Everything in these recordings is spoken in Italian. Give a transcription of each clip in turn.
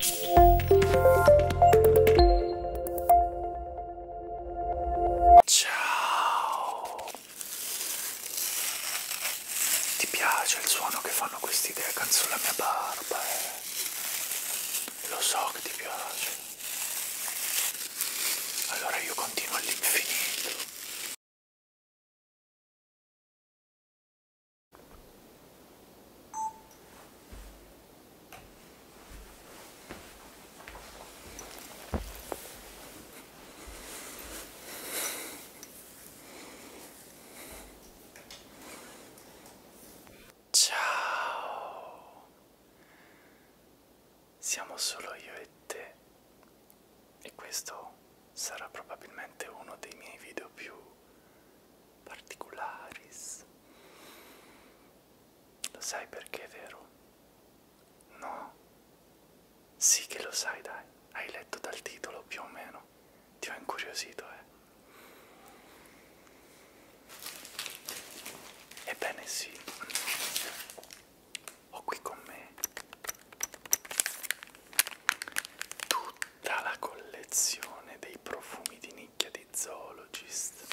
Ciao! Ti piace il suono che fanno queste idee canzone mia barba? Eh? Lo so che ti piace. Allora io continuo all'infinito. Ciao, siamo solo io e te e questo sarà probabilmente uno dei miei video più particularis. Lo sai perché, vero? No? Sì che lo sai, dai. Hai letto dal titolo più o meno. Ti ho incuriosito, eh. Ebbene sì, ho qui con me tutta la collezione dei profumi di nicchia di zoologist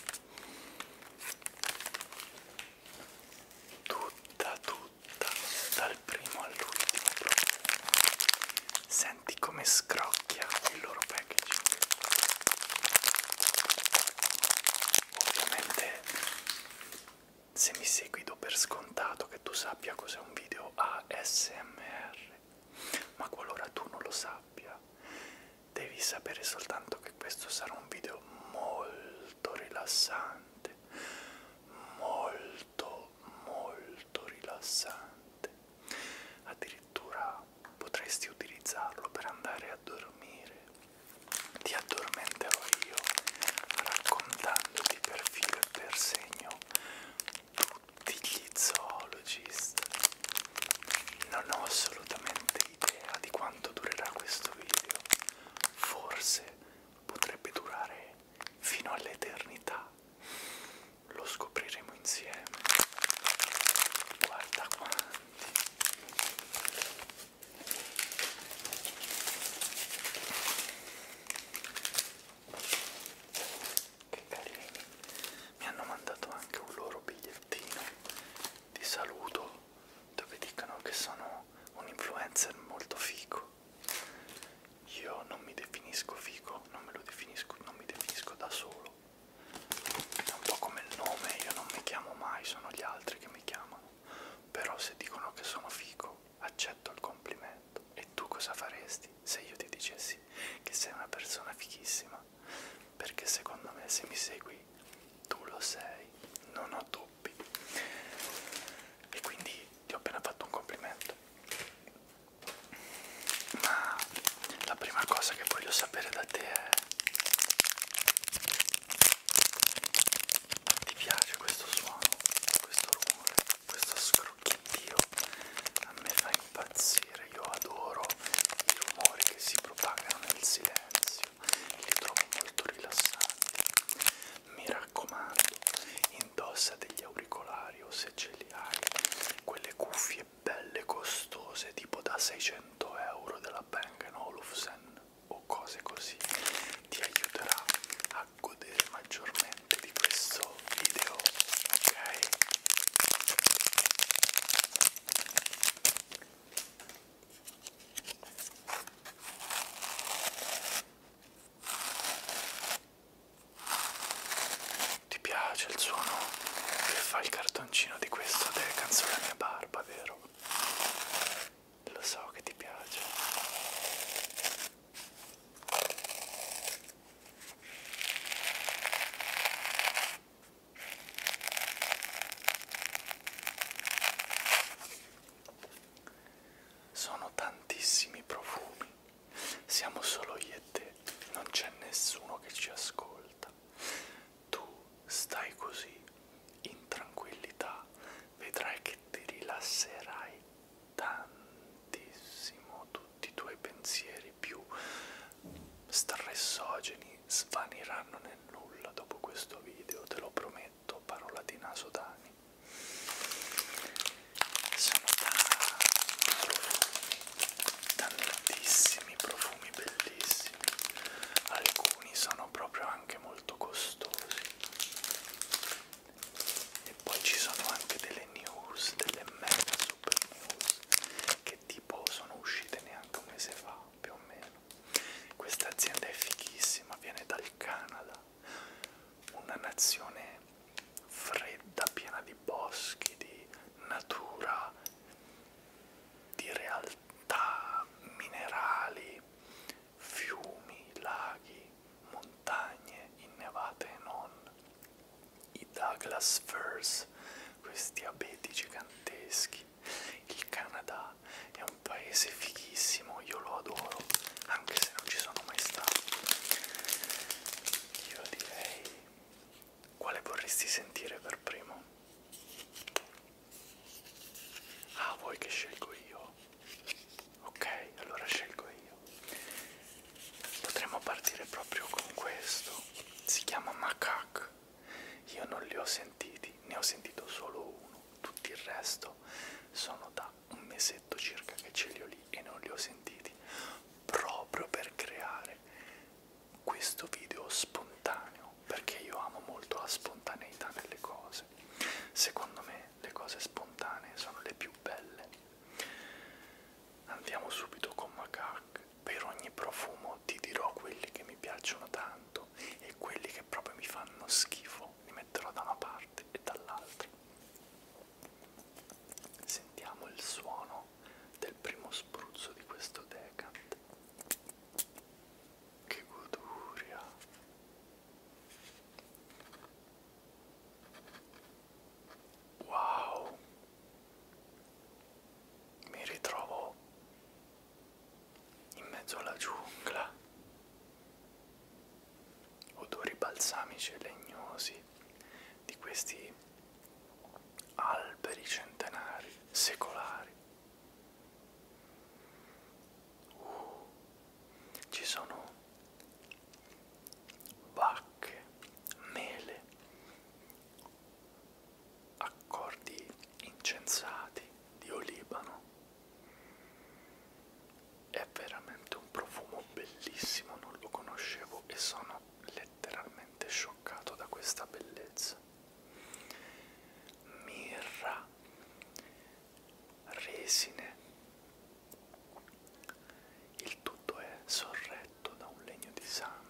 tutta tutta dal primo all'ultimo senti come scrocchia il loro packaging ovviamente se mi segui do per scontato che tu sappia cos'è un video ASMR ma qualora tu non lo sappia sabbia. Devi sapere soltanto che questo sarà un video molto rilassante, molto molto rilassante. Addirittura potresti utilizzarlo per andare a dormire. Ti addormenterò io raccontandoti per filo e per segno tutti gli zoologist. Non ho assolutamente idea di quanto durerà questo video. Forse potrebbe durare fino all'eternità. Lo scopriremo insieme. Guarda quanti che carini mi hanno mandato anche un loro bigliettino di saluto dove dicono che sono un influencer molto figo io non mi definisco figo non me lo definisco non mi definisco da solo è un po' come il nome io non mi chiamo mai sono gli altri che mi chiamano però se dicono che sono figo accetto il complimento e tu cosa faresti divertirti se io ti dicessi che sei una persona fichissima, perché secondo me se mi segui tu lo sei, non ho dubbi. E quindi ti ho appena fatto un complimento. Ma la prima cosa che voglio sapere da te è... Ti piace questo suono, questo rumore, questo scroll? che Dio a me fa impazzire, io adoro i rumori che si propagano nel silenzio, li trovo molto rilassanti. Mi raccomando, indossa degli auricolari o se ce li hai, quelle cuffie belle costose tipo da 600 euro della Bang Olufsen o cose così, ti aiuterà a godere maggiormente di questo nuovo video ok ti piace il suono che fa il cartoncino di questo de canzone mia barba vero lo so che ti piace sono tantissimi profumi, siamo solo io e te, non c'è nessuno che ci ascolta. Tu stai così, in tranquillità, vedrai che ti rilasserai tantissimo, tu tutti i tuoi pensieri più stressogeni svaniranno nel nulla dopo questo video, te lo prometto, parola di Nasodani. Sono tanti profumi, tantissimi profumi bellissimi, alcuni sono proprio anche molto costosi. E poi ci sono anche delle news, delle mega super news che tipo sono uscite neanche un mese fa più o meno questa azienda è fighissima viene dal Canada una nazione fredda piena di boschi di natura di realtà minerali fiumi laghi montagne innevate e non i Douglas Firs, questi abeti giganteschi. Il Canada è un paese fighissimo, io lo adoro, anche se non ci sono mai stato. Io direi quale vorresti sentire per primo? Ah, vuoi che scelgo io? Ok, allora scelgo io potremmo partire proprio con questo si chiama macaque io non li ho sentiti ne ho sentito solo uno tutto il resto sono da un mesetto circa che ce li ho lì e non li ho sentiti proprio per creare questo video spontaneo perché io amo molto la spontaneità nelle cose secondo me le cose spontanee sono le più belle Andiamo subito con Macaque. Per ogni profumo ti dirò quelli che mi piacciono tanto e quelli che proprio mi fanno schifo, li metterò da una parte e dall'altra. Sentiamo il suono del primo spruzzo di questo decant. Che goduria! Wow, mi ritrovo in mezzo alla giungla, odori balsamici e legnosi di questi alberi centenari, secolari. Uh, ci sono vacche, mele, accordi incensati di olibano. È veramente un profumo bellissimo, non lo conoscevo e sono letteralmente scioccato da questa bellezza. Mirra, resine, il tutto è sorretto da un legno di sandalo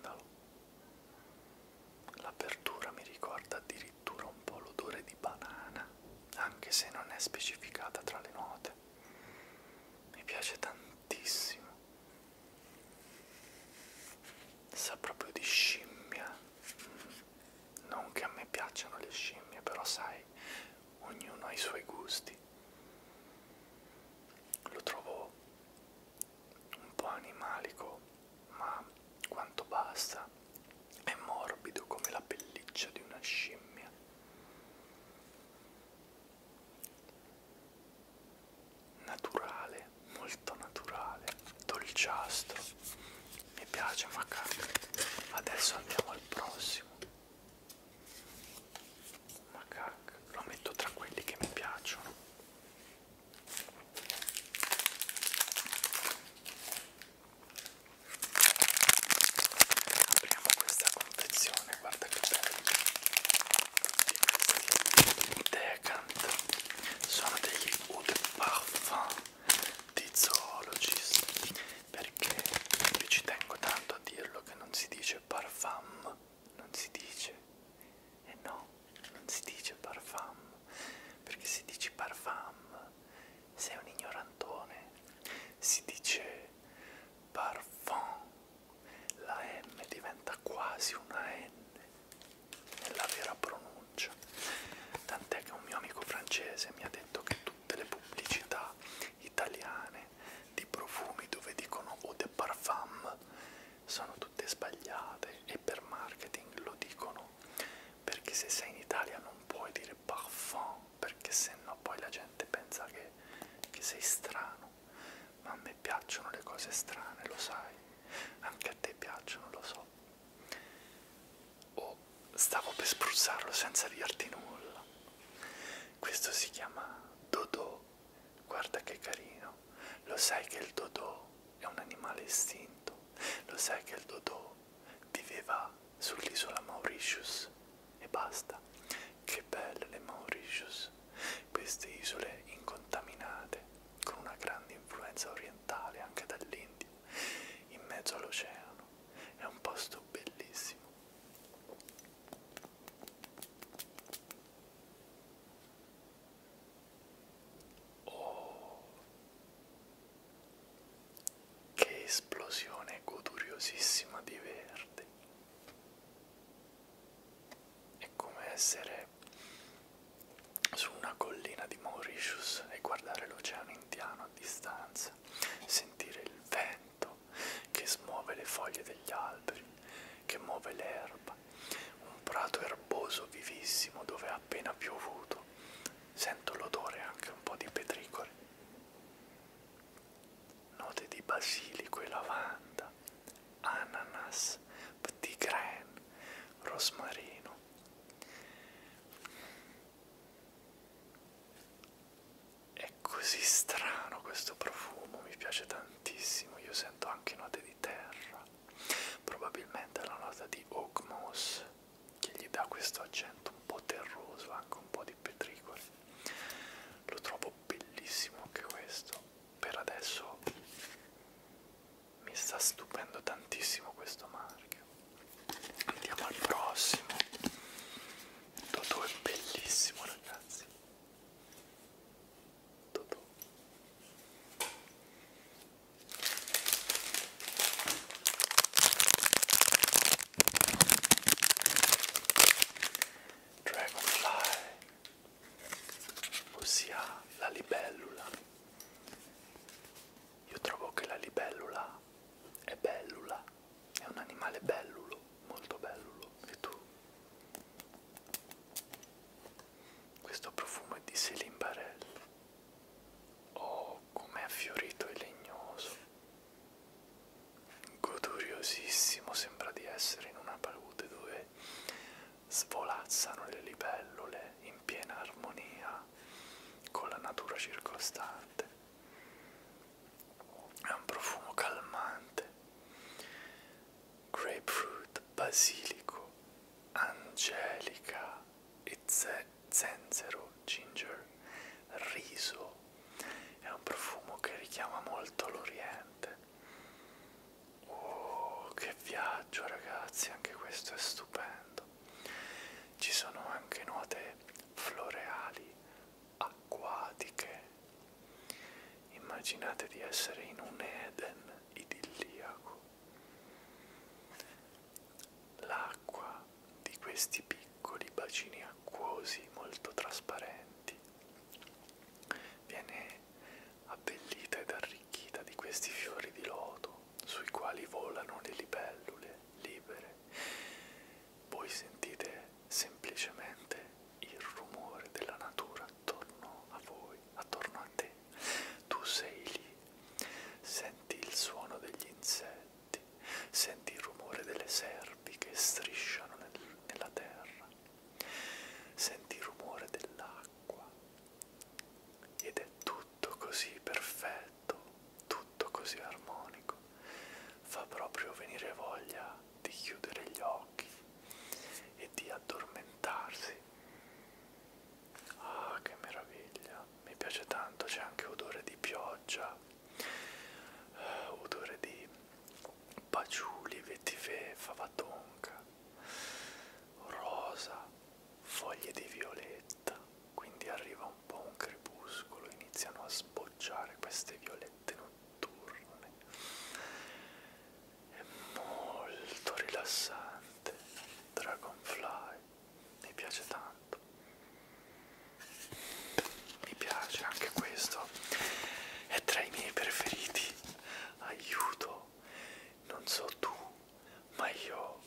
L'apertura mi ricorda addirittura un po' l'odore di banana, anche se non è specificata tra le note. Mi piace tantissimo. Sa proprio di scimmia. Non che a me piacciono le scimmie, però sai, ognuno ha i suoi gusti. Lo trovo un po' animalico, ma quanto basta, è morbido come la pelliccia di una scimmia. Naturale, molto naturale, dolciastro. Mi piace, ma cacca. Adesso andiamo al prossimo ma cacca, lo metto tra quelli che mi piacciono. Apriamo questa confezione, guarda che bello. Decant sono degli Oud Parfum di Zoologist perché ci tengo tanto a dirlo che non si dice parfum non si dice e eh no non si dice parfum perché se dici parfum sei un ignorantone si dice parfum la M diventa quasi una N nella vera pronuncia tant'è che un mio amico francese mi ha detto che tutte le pubblicità italiane di profumi dove dicono o de parfum sono tutte sbagliate e per marketing lo dicono perché se sei in Italia non puoi dire parfum perché sennò poi la gente pensa che, che sei strano ma a me piacciono le cose strane lo sai anche a te piacciono lo so oh, stavo per spruzzarlo senza dirti nulla questo si chiama Dodo Guarda che carino, lo sai che il Dodò è un animale estinto, lo sai che il Dodò viveva sull'isola Mauritius e basta. Che belle le Mauritius, queste isole incontaminate con una grande influenza orientale anche dall'India, in mezzo all'oceano, è un posto bellissimo. Oh, che esplosione goduriosissima di verde! È come essere su una collina di Mauritius e guardare l'oceano indiano a distanza, sentire il vento che smuove le foglie degli alberi, che muove l'erba erba, un prato erboso vivissimo dove ha appena piovuto. Sento l'odore anche un po' di petricore. Note di basilico e lavanda, ananas, petit grain, rosmarino. È così strano questo profumo, mi piace tantissimo. Io sento anche note di di terra, probabilmente la nota di oak moss che gli dà questo accento un po' terroso, anche un po' di petricoli. Lo trovo bellissimo anche questo. Per adesso mi sta stupendo tantissimo questo marchio. Andiamo al prossimo. Toto è bellissimo ragazzi. Totò. Dragonfly, ossia la libellula. Io trovo che la libellula è bellula, è un animale bellulo, molto bellulo. E tu? Questo profumo è di Céline Barel. Oh, com'è affiorito e legnoso. Goduriosissimo sembra di essere in una palude dove svolazzano le libellule in piena armonia con la natura circostante. È un profumo calmante grapefruit, basilico, angelica e ze zenzero, ginger, riso. È un profumo che richiama molto l'Oriente. Oh, che viaggio ragazzi, anche questo è stupendo. Ci sono anche note floreali, acquatiche, Immaginate di essere in un Eden idilliaco. L'acqua di questi piccoli bacini acquosi molto trasparenti viene abbellita ed arricchita di questi fiori di loto sui quali volano le libellule libere. Voi sentite semplicemente il rumore della natura attorno a voi, attorno a te. Tu sei lì, senti il suono degli insetti, senti il rumore delle serpi che strisciano nel, nella terra, senti il rumore dell'acqua ed è tutto così perfetto, tutto così armonico, fa proprio venire voglia di chiudere gli occhi e di addormentarsi. Ah, che meraviglia! Mi piace tanto, c'è anche odore di pioggia, uh, odore di paciuli, vetiver, favatonca, rosa, foglie di violetta. Quindi arriva un po' un crepuscolo, iniziano a sbocciare queste violette in notturne è molto rilassante Dragonfly mi piace tanto mi piace anche questo è tra i miei preferiti aiuto non so tu ma io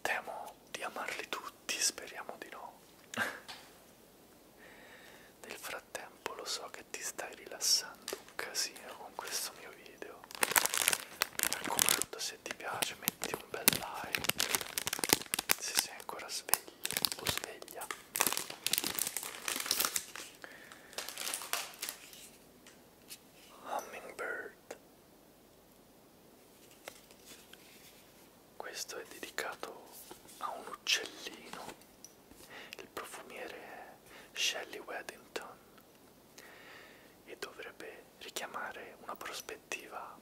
temo di amarli tutti speriamo di no nel frattempo lo so che ti stai rilassando un casino con questo mio video. Mi raccomando se ti piace metti un bel like. Se sei ancora sveglia o sveglia. Hummingbird. Questo è dedicato a un uccellino il profumiere è Shelley Weddington e dovrebbe richiamare una prospettiva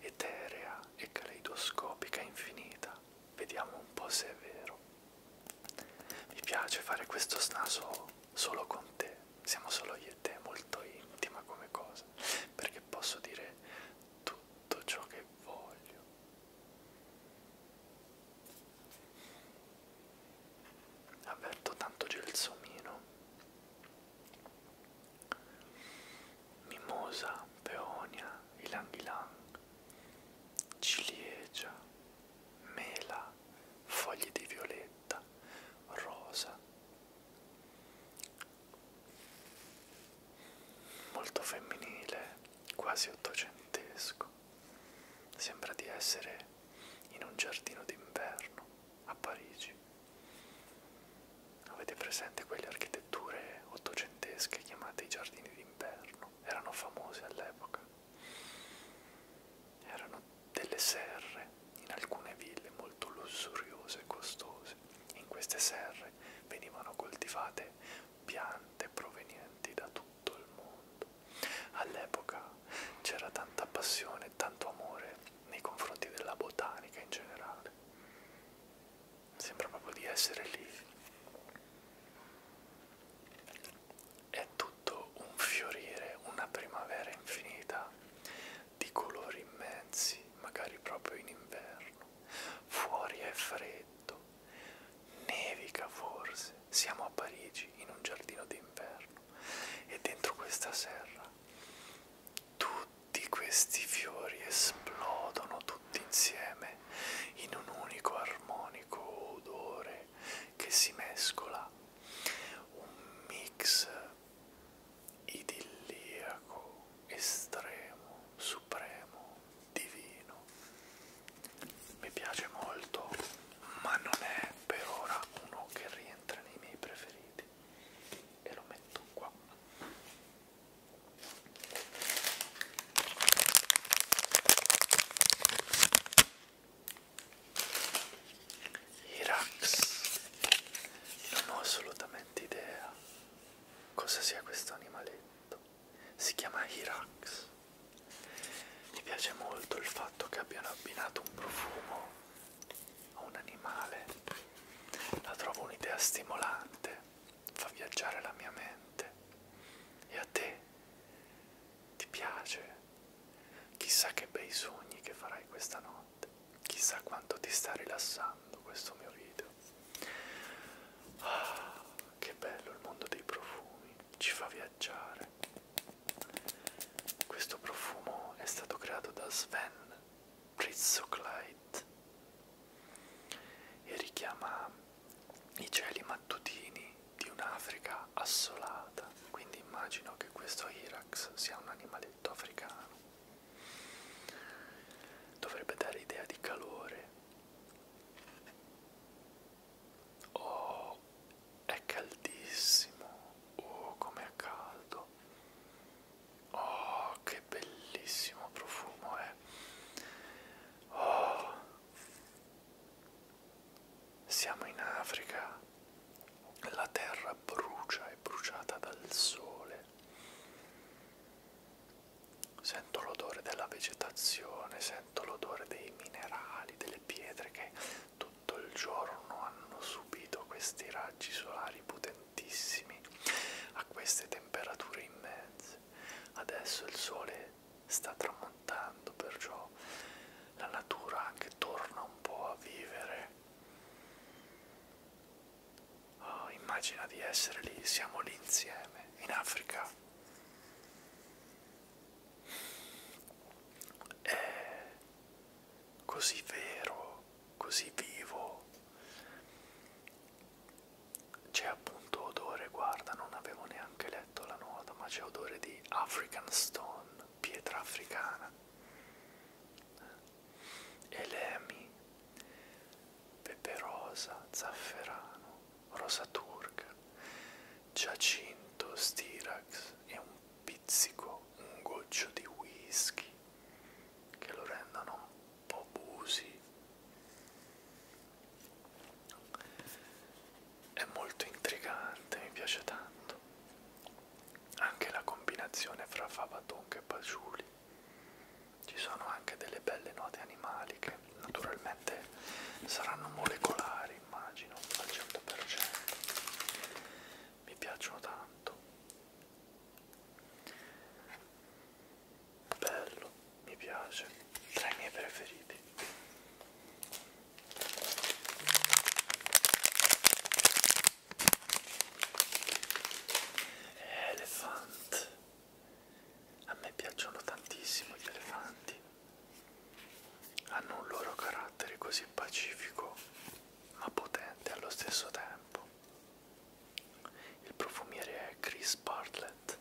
eterea e caleidoscopica infinita. Vediamo un po' se è vero. Mi piace fare questo snaso solo con te, siamo solo io e te, molto intima come cosa, perché posso dire tutto ciò che voglio avverto tanto gelsomino, mimosa, peonia, ilang ilang, ciliegia, mela, foglie di violetta, rosa. Molto femminile, quasi ottocentesco. Sembra di essere in un giardino d'inverno a Parigi. Avete presente quelle architetture ottocentesche chiamate i giardini d'inverno? Erano famose all'epoca. Erano delle serre in alcune ville molto lussuriose e costose. In queste serre venivano coltivate piante provenienti da tutto tutto il mondo. All'epoca c'era tanta passione, tanto amore nei confronti della botanica in generale. Sembra proprio di essere lì. È tutto un fiorire, una primavera infinita di colori immensi, magari proprio in inverno. Fuori è freddo, Nevica forse, siamo a Parigi in un giardino d'inverno e dentro questa serra tutti questi fiori esplodono tutti insieme in un unico armonico odore che si mescola, un mix idilliaco, estremo, supremo divino mi piace molto ma non è per ora uno che rientra nei miei preferiti e lo metto qua Irax non ho assolutamente idea cosa sia questo animaletto si chiama Hirax. Mi piace molto il fatto che abbiano abbinato un profumo a un animale. La trovo un'idea stimolante, fa viaggiare la mia mente. E a te? Ti piace? Chissà che bei sogni che farai questa notte. Chissà quanto ti sta rilassando questo mio video. Ah, che bello il mondo dei profumi ci fa viaggiare. Questo profumo è stato creato da Sven Pritzoclite e richiama i cieli mattutini di un'Africa assolata, quindi immagino che questo Irax sia un animaletto africano. Dovrebbe dare idea di calore Oh, è caldissimo. Oh, com'è caldo. Oh, che bellissimo profumo è. Oh. Siamo in Africa. La terra brucia, è bruciata dal sole. Sento l'odore della vegetazione, sento l'odore dei minerali, delle pietre che tutto il giorno hanno subito questi raggi solari potentissimi a queste temperature immense. Adesso il sole sta tramontando, perciò la natura anche torna un po' a vivere. Oh, immagina di essere lì, siamo lì insieme, in Africa è eh, così vero, così vivo. C'è appunto odore, guarda, non avevo neanche letto la nota, ma c'è odore di African Stone, pietra africana. Elemi, eh, peperosa, zafferano, rosa turca, giacinto, stirax e un pizzico, un goccio di whisky che lo rendono un po' busi. È molto intrigante, mi piace tanto. Anche la combinazione fra fava tonka e paciuli. Ci sono anche delle belle note animaliche che naturalmente saranno molecolari, immagino, al 100%. Mi piacciono tanto. Bello, mi piace, tra i miei preferiti. Elephant. A me piacciono tantissimo gli elefanti. Hanno un loro carattere così pacifico ma potente allo stesso tempo. Il profumiere è Chris Bartlett.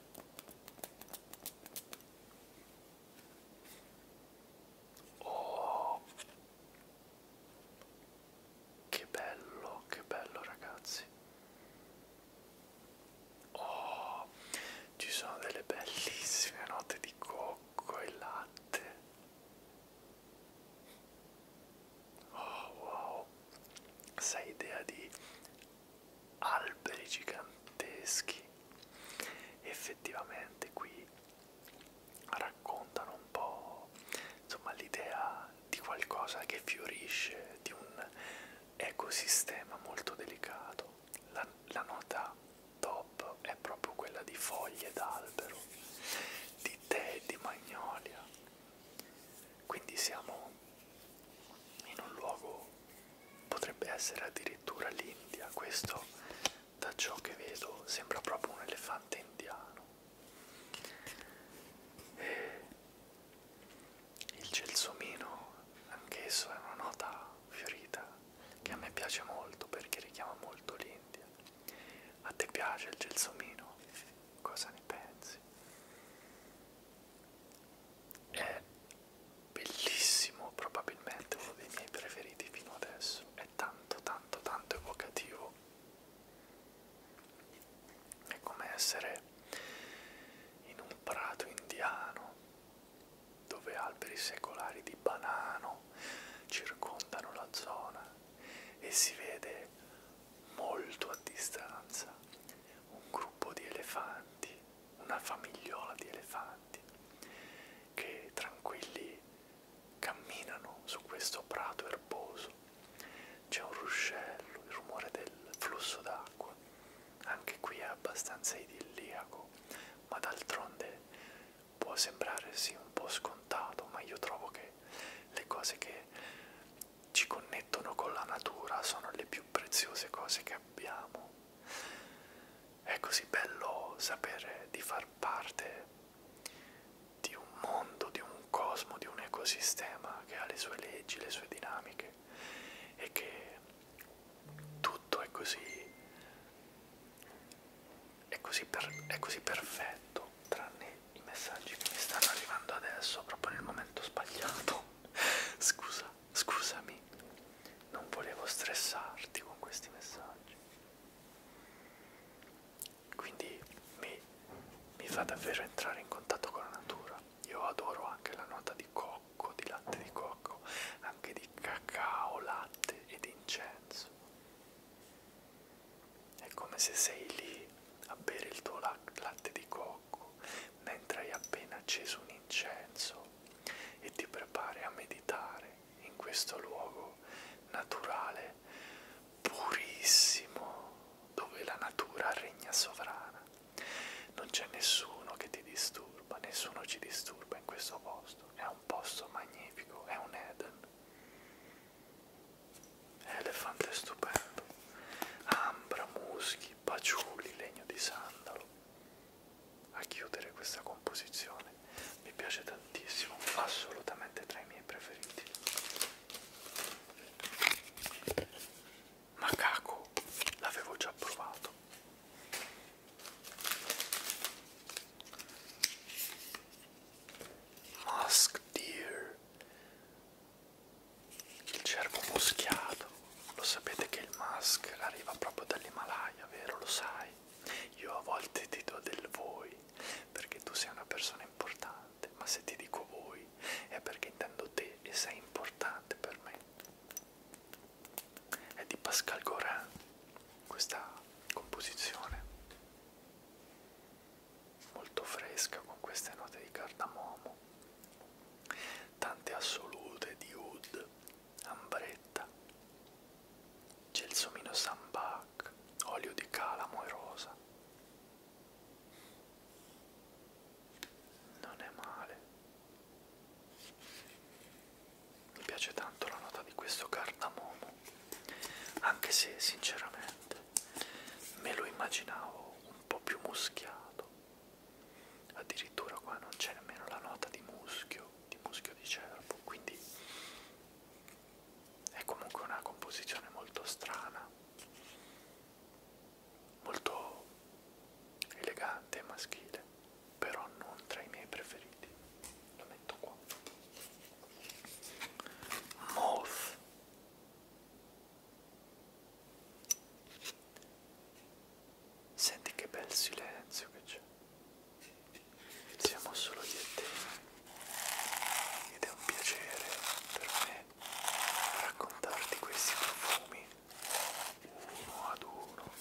Oh, che bello, che bello ragazzi. Oh, ci sono delle bellissime note di cocco e latte. Oh wow, sai idea di alberi giganteschi. Effettivamente qui raccontano un po' insomma l'idea di qualcosa che fiorisce, di un ecosistema molto delicato la, la nota top è proprio quella di foglie d'albero, di tè, di magnolia. Quindi siamo in un luogo, potrebbe essere addirittura l'India, questo da ciò che vedo sembra proprio un elefante indiano. E il gelsomino anch'esso è una nota fiorita che a me piace molto perché richiama molto l'India a te piace il gelsomino? cosa ne pensi? è bellissimo probabilmente uno dei miei preferiti fino adesso è tanto tanto tanto evocativo è come essere in un prato indiano dove alberi secolari di banano circondano la zona e si vede molto a distanza un gruppo di elefanti, una famigliola di elefanti che tranquilli camminano su questo prato erboso. C'è un ruscello, il rumore del flusso d'acqua anche qui è abbastanza idilliaco, ma d'altronde può sembrare sì un po' scontato, ma io trovo che le cose che ci connettono con la natura sono le più preziose cose che abbiamo. È così bello sapere di far parte di un mondo, di un cosmo, di un ecosistema che ha le sue leggi, le sue dinamiche e che tutto è così, è così, per, è così perfetto, tranne i messaggi che mi stanno arrivando adesso, proprio nel momento sbagliato. Scusa, scusami, non volevo stressarti con questi messaggi. Quindi mi, mi fa davvero entrare in contatto con la natura. Io adoro anche la nota di coro cocco, di latte di cocco, anche di cacao, latte ed incenso. È come se sei lì a bere il tuo latte di cocco mentre hai appena acceso un incenso e ti prepari a meditare in questo luogo naturale purissimo dove la natura regna sovrana. Non c'è nessuno che ti disturba, nessuno ci disturba in questo posto. È un posto magnifico, è un Eden. Elefante stupendo. Ambra, muschi, paciuli, legno di sandalo. A chiudere questa composizione mi piace tantissimo, assolutamente tra i miei preferiti. Macaco, l'avevo già provato. Musk Deer, il cervo moschiato. Lo sapete che il musk arriva proprio dall'Himalaya, vero? Lo sai? Io a volte ti do del voi perché tu sei una persona importante, ma se ti dico voi è perché intendo te e sei importante per me è di Pascal Gorin questa composizione molto fresca con queste note di cardamomo tante assolute di oud ambretta gelsomino sambac olio di calamo e rosa non è male mi piace tanto la nota di questo cardamomo, anche se sinceramente me lo immaginavo un po' più muschiato, addirittura qua non c'è nemmeno la nota di muschio, di muschio di cervo, quindi è comunque una composizione molto strana, molto elegante e maschile, però non tra i miei preferiti. Lo metto qua. Moth. Senti che bel silenzio che c'è. Siamo solo io e te. Ed è un piacere per me raccontarti questi profumi uno ad uno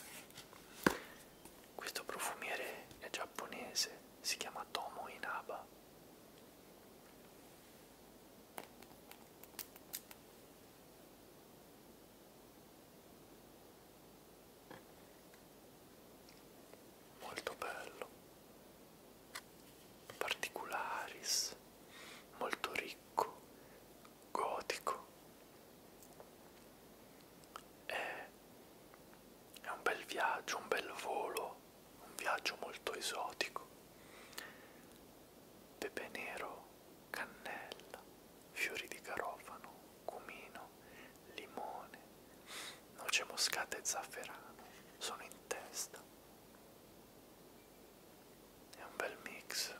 questo profumiere è giapponese, si chiama Tomo Inaba. Molto bello, particularis, molto ricco, gotico è, è un bel viaggio, un bel volo, un viaggio molto esotico. Pepe nero, cannella, fiori di garofano, cumino, limone, noce moscata e zafferano sono in testa. È un bel mix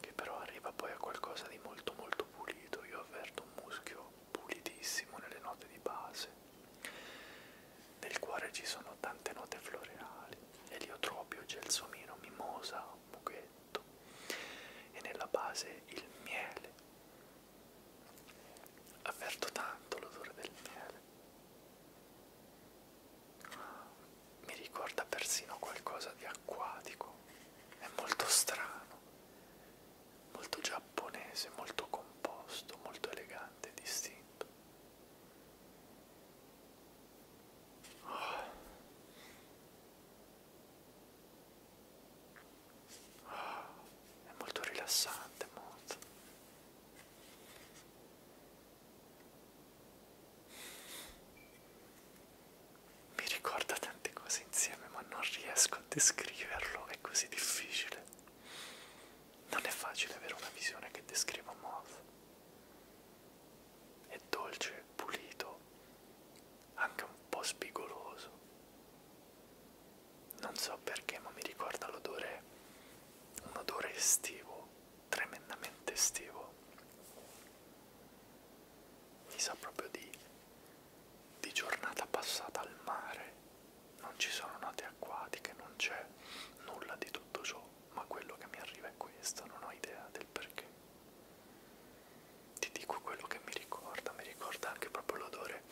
che però arriva poi a qualcosa di molto molto pulito, io avverto un muschio pulitissimo nelle note di base, nel cuore ci sono tante note floreali, eliotropio, gelsomino, mimosa, mughetto e nella base il miele, avverto tanto l'odore del miele ah mi ricorda persino qualcosa di acquatico, è molto strano, molto giapponese, molto composto, molto elegante, distinto. Oh. Oh. È molto rilassante, molto. Mi ricorda tante cose insieme, ma non riesco a descriverlo, è così difficile. Non è facile avere una visione che descriva Moth. È dolce, pulito, anche un po' spigoloso. Non so perché, ma mi ricorda l'odore, un odore estivo tremendamente estivo mi sa proprio di, di giornata passata al mare non ci sono note acquatiche non c'è nulla di tutto ciò ma quello che mi arriva è questo non ho idea del perché ti dico quello che mi ricorda mi ricorda anche proprio l'odore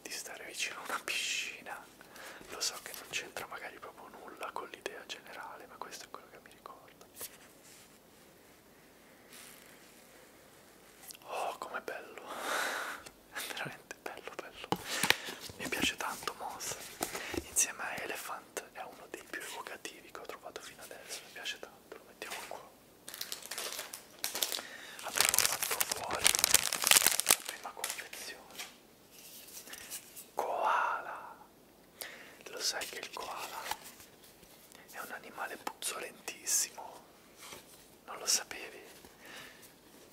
di stare vicino a una piscina lo so che non c'entra magari proprio nulla con l'idea generale ma questo è quello che mi ricorda Oh, com'è bello! È veramente bello, bello. Mi piace tanto Moss. Insieme a Elephant è uno dei più evocativi che ho trovato fino adesso. Mi piace tanto, lo mettiamo qua. Abbiamo fatto fuori la prima confezione. Koala! Lo sai che il koala è un animale puzzolentissimo? Non lo sapevi?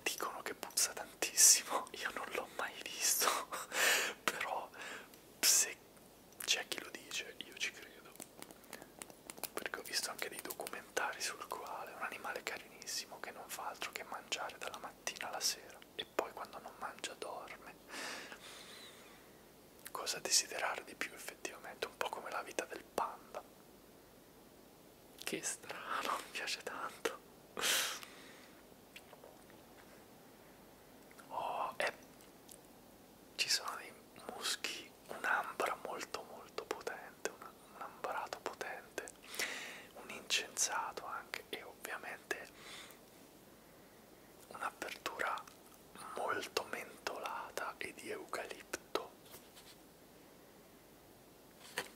Dicono che puzza tantissimo, io non l'ho mai visto, però se c'è chi lo dice io ci credo, perché ho visto anche dei documentari sul koala, è un animale carinissimo che non fa altro che mangiare dalla mattina alla sera e poi quando non mangia dorme cosa desiderare di più effettivamente, un po' come la vita del panda. Che strano, mi piace tanto. Oh, e ci sono dei muschi, un'ambra molto molto potente, un, un ambarato potente, un incensato anche e ovviamente un'apertura molto mentolata e di eucalipto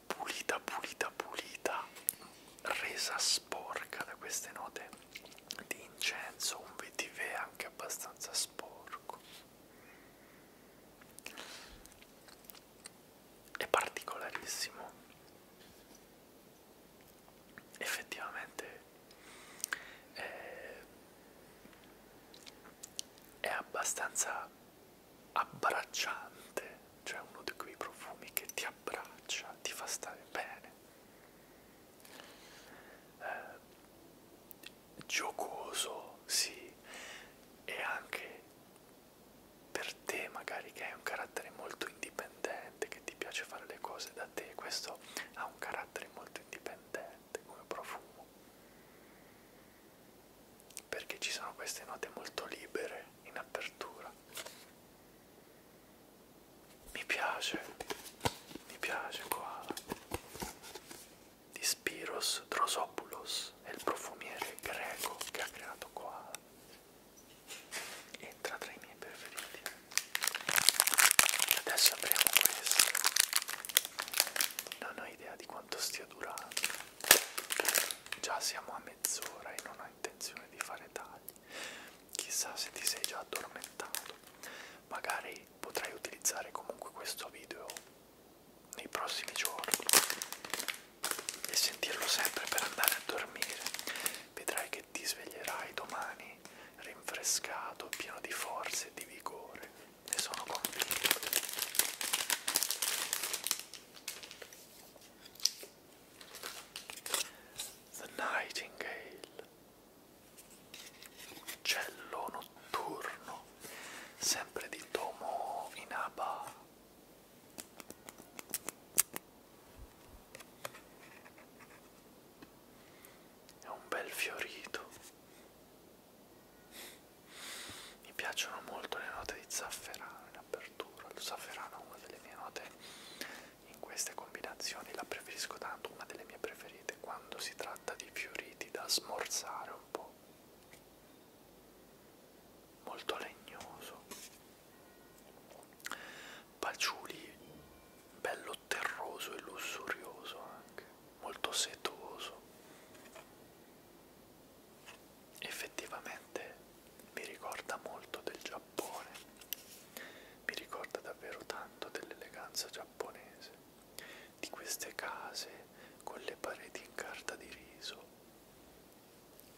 pulita pulita pulita resa sporca da queste note di incenso un vetiver anche abbastanza sporco è particolarissimo effettivamente è, eh, è abbastanza abbracciante, cioè uno di quei profumi che ti abbraccia, ti fa stare bene. Eh, giocoso, sì, e anche per te magari che hai un carattere molto indipendente indipendente, che ti piace fare le cose da te, questo ha un carattere molto indipendente come profumo, perché ci sono queste note molto libere in apertura. Mi piace, mi piace qua. Di Spiros Drosopoulos è il profumiere greco che ha creato koala e entra tra i miei preferiti adesso apriamo questo non ho idea di quanto stia durando già siamo a mezz'ora e non ho intenzione di fare tagli chissà se ti sei già addormentato magari potrai utilizzare comunque questo video nei prossimi giorni e sentirlo sempre per andare a dormire vedrai che ti sveglierai domani rinfrescato, pieno di forze e di vigore. Ne sono convinto. The Nightingale, Uccello notturno, sempre di Tomo Inaba è un bel fiorito mi piacciono molto le note di zafferano in apertura lo zafferano è una delle mie note in queste combinazioni la preferisco tanto una delle mie preferite quando si tratta di fioriti da smorzare un po' molto legnoso Paciuli bello molto terroso e lussurioso anche, molto setoso. Effettivamente mi ricorda molto del Giappone, mi ricorda davvero tanto dell'eleganza giapponese, di queste case con le pareti in carta di riso,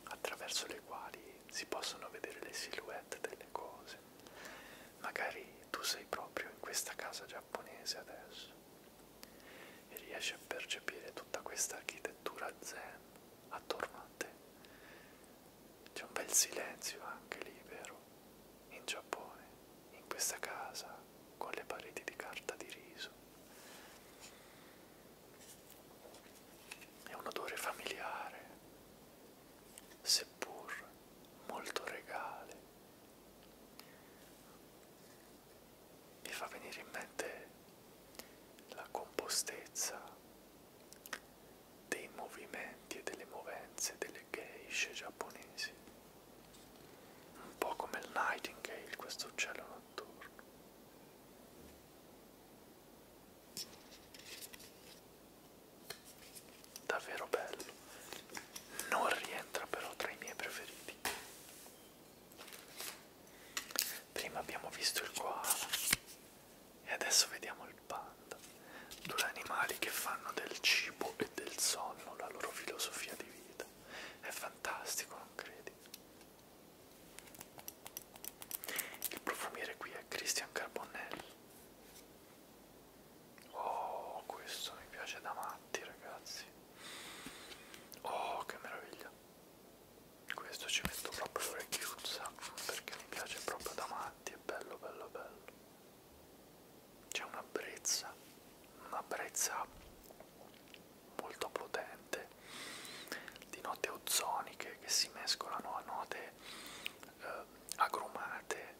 attraverso le quali si possono vedere le silhouette delle cose giapponese. Magari tu sei proprio in questa casa giapponese adesso e riesci a percepire tutta questa architettura zen attorno a te. C'è un bel silenzio anche libero in Giappone, in questa casa con le pareti di carta di riso. È un odore familiare, seppur molto regale. Mi fa venire in mente la compostezza dei movimenti e delle movenze delle geishe giapponesi, un po' come il nightingale, questo cielo notturno davvero bello non rientra però tra i miei preferiti prima abbiamo visto il koala e adesso vediamo il panda due animali che fanno del cibo e del sonno la loro filosofia di vita è fantastico non credi il profumiere qui è Christian Carbonell Oh, questo mi piace da matti, ragazzi. Oh, che meraviglia. Questo ci metto proprio l'orecchiuzza perché mi piace proprio da matti, è bello, bello, bello. C'è una brezza, una brezza molto potente di note ozoniche che si mescolano a note eh, agrumate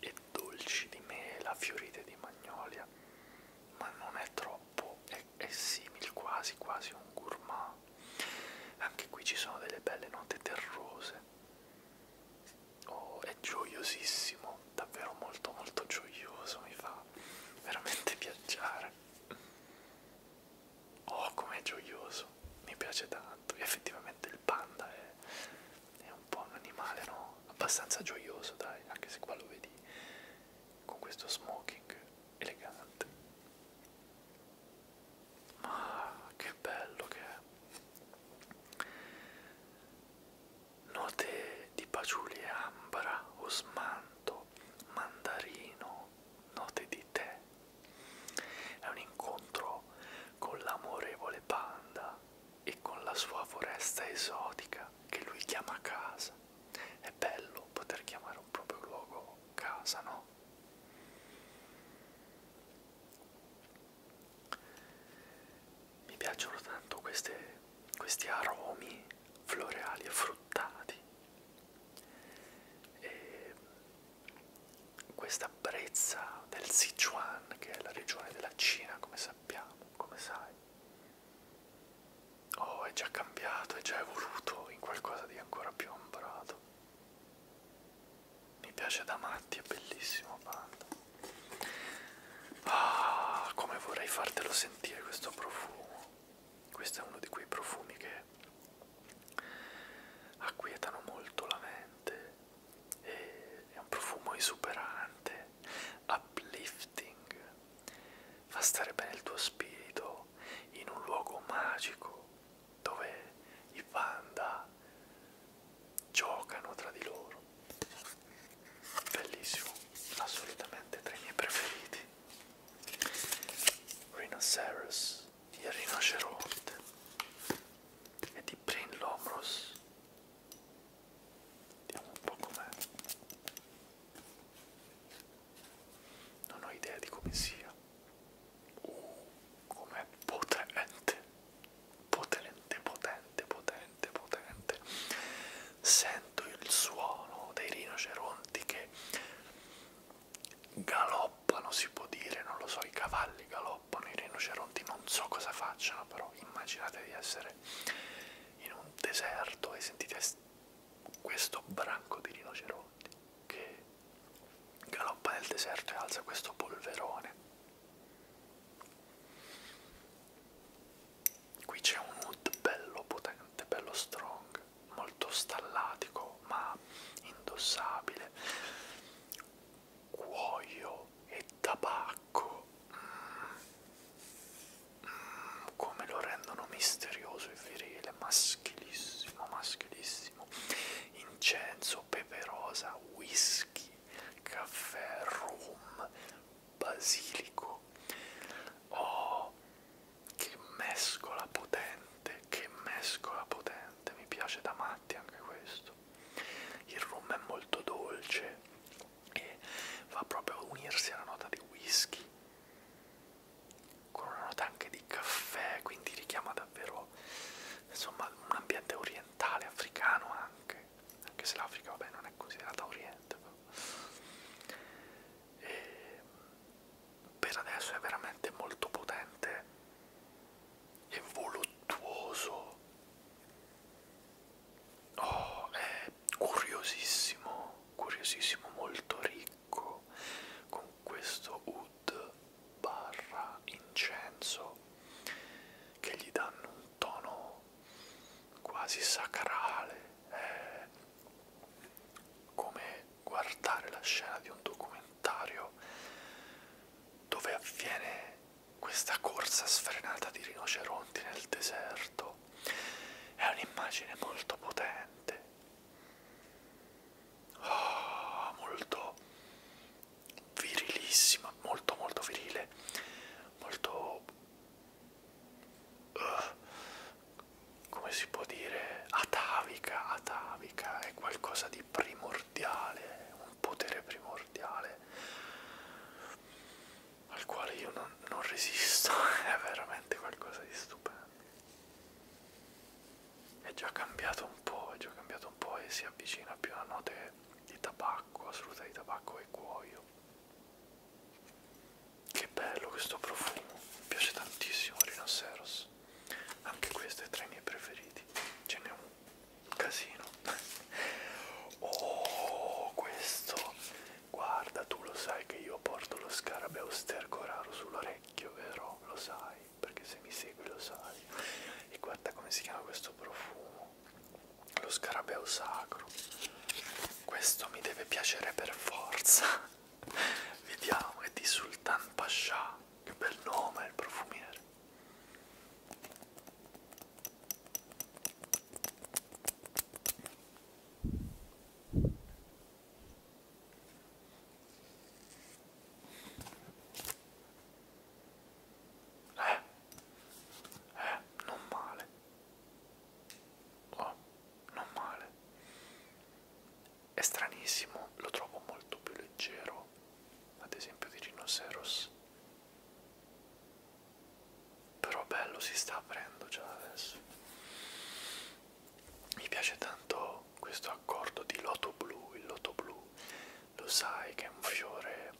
e dolci di mela, fiorite di magnolia, ma non è troppo, è, è simile quasi quasi a un gourmand. Anche qui ci sono delle belle note terrose. Oh, è gioiosissimo, davvero molto molto gioioso, mi fa veramente piacere. Oh, com'è gioioso! mi piace tanto e effettivamente il panda è, è un po' un animale no? abbastanza gioioso dai anche se qua lo vedi con questo smoking elegante ma che bello che è note di paciuli ambra osmanto mandarino note di tè è un incontro con l'amorevole panda e con la sua foresta esotica che lui chiama casa. È bello poter chiamare un proprio luogo casa, no? Mi piacciono tanto queste, questi aromi floreali e fruttati. E questa brezza del Sichuan, che è la regione della Cina, come sappiamo, come sai, oh, è già cambiato, è già evoluto in qualcosa di ancora più ombroso. Mi piace da matti, è bellissimo Panda. Ah, come vorrei fartelo sentire questo profumo. Questo è uno di quei profumi che acquietano molto la mente e è un profumo esuberante, uplifting, fa stare bene il tuo spirito in un luogo magico dove i panda giocano tra di loro. Bellissimo, assolutamente tra i miei preferiti. Rhinoceros di Rinoceronte e di Brin Lomros. Vediamo un po' com'è. Non ho idea di come sia. Uh, com'è potente, potente, potente, potente, potente. Sento il suono dei rinoceronti che galoppa galoppano, si può dire, non lo so, i cavalli galoppano, i rinoceronti non so cosa facciano, però immaginate di essere in un deserto e sentite questo branco di rinoceronti che galoppa nel deserto e alza questo polverone. Qui c'è un mood bello potente, bello strong, molto stallatico ma indossabile cuoio e tabacco. Mm. Mm. Come lo rendono misterioso e virile, maschilissimo, maschilissimo. Incenso, pepe rosa, whisky, caffè, rum, basilico. Oh, che mescola potente, che mescola potente, mi piace da matti anche questo questo. Il rum è molto dolce e va proprio a unirsi alla nota di whisky con una nota anche di caffè, quindi richiama davvero insomma un ambiente orientale, africano anche, anche se l'Africa vabbè non è considerata oriente. E ehm, per adesso è veramente molto potente e voluttuoso. Oh, è curiosissimo, curiosissimo, molto ricco con questo wood barra incenso che gli danno un tono quasi sacrale. È come guardare la scena di un documentario dove avviene questa corsa sfrenata di rinoceronti nel deserto. È un'immagine molto potente, oh, molto virilissima, molto molto virile, molto... Uh, come si può dire? Atavica, atavica, è qualcosa di primordiale, un potere primordiale al quale io non, non resisto, è veramente qualcosa di stupendo. È già cambiato un po', è già cambiato un po' e si avvicina più a note di tabacco, assoluta di tabacco e cuoio. Che bello questo profumo, mi piace tantissimo Rhinoceros, anche questo è tra i miei preferiti, ce n'è uno casino oh questo guarda tu lo sai che io porto lo scarabeo sterco raro sull'orecchio vero lo sai perché se mi segui lo sai e guarda come si chiama questo profumo lo scarabeo sacro questo mi deve piacere per forza vediamo è di sultan pascià che bel nome il profumiere eh, eh, non male. Oh, non male. È stranissimo, lo trovo molto più leggero ad esempio di rinoceros però bello si sta aprendo già adesso mi piace tanto questo accordo di loto blu il loto blu lo sai che è un fiore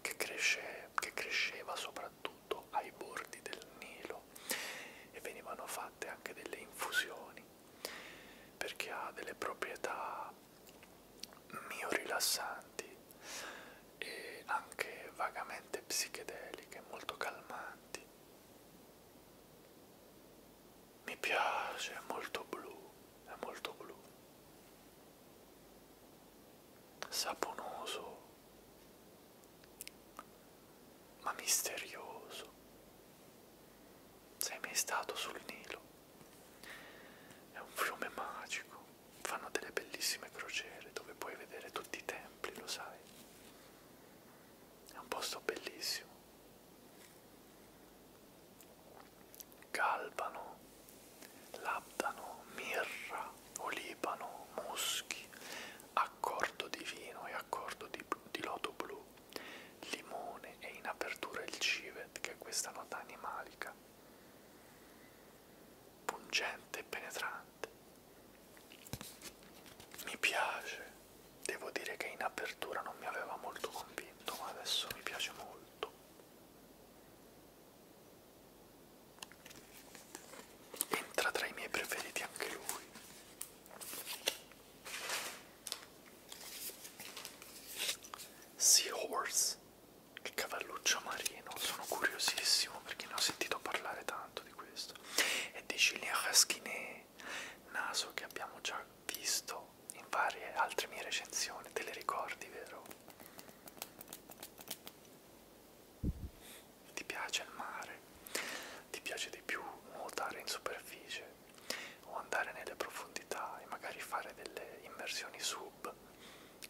che cresce che cresceva soprattutto ai bordi del Nilo e venivano fatte anche delle infusioni perché ha delle proprietà miorilassanti e anche vagamente psichedeliche, molto calmanti. Mi piace, è molto blu, è molto blu. Saponoso, ma misterioso. Sei mai stato sul Nilo? È un fiume magico, fanno delle bellissime crociere dove puoi vedere tutti i templi, lo sai. È un posto bellissimo. Galbano, labdano, mirra, olibano, muschi, accordo di vino e accordo di, di loto blu, limone e in apertura il civet che è questa nota animale italica, pungente e penetrante. Mi piace, devo dire che in apertura non mi aveva molto convinto, ma adesso mi piace molto. Entra tra i miei preferiti anche lui. Seahorse Palace. Che cavalluccio marino, sono curiosissimo perché ne ho sentito parlare tanto di questo. E di Julien Rasquinet, naso che abbiamo già visto in varie altre mie recensioni, te le ricordi, vero? Ti piace il mare? Ti piace di più nuotare in superficie? o andare nelle profondità e magari fare delle immersioni sub,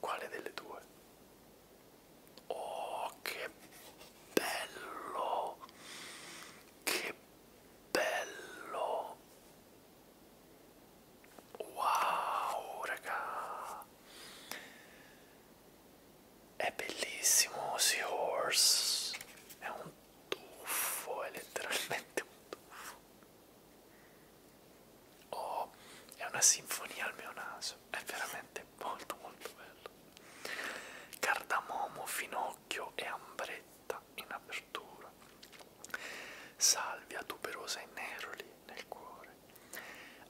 quale delle due? Oh, che bello! Che bello! Wow, raga! È bellissimo Seahorse, è un tuffo, è letteralmente un tuffo. Oh, è una sinfonia al mio naso, è veramente molto molto bello. Cardamomo, finocchio e ambretta in apertura. Salvia tuberosa e neroli nel cuore.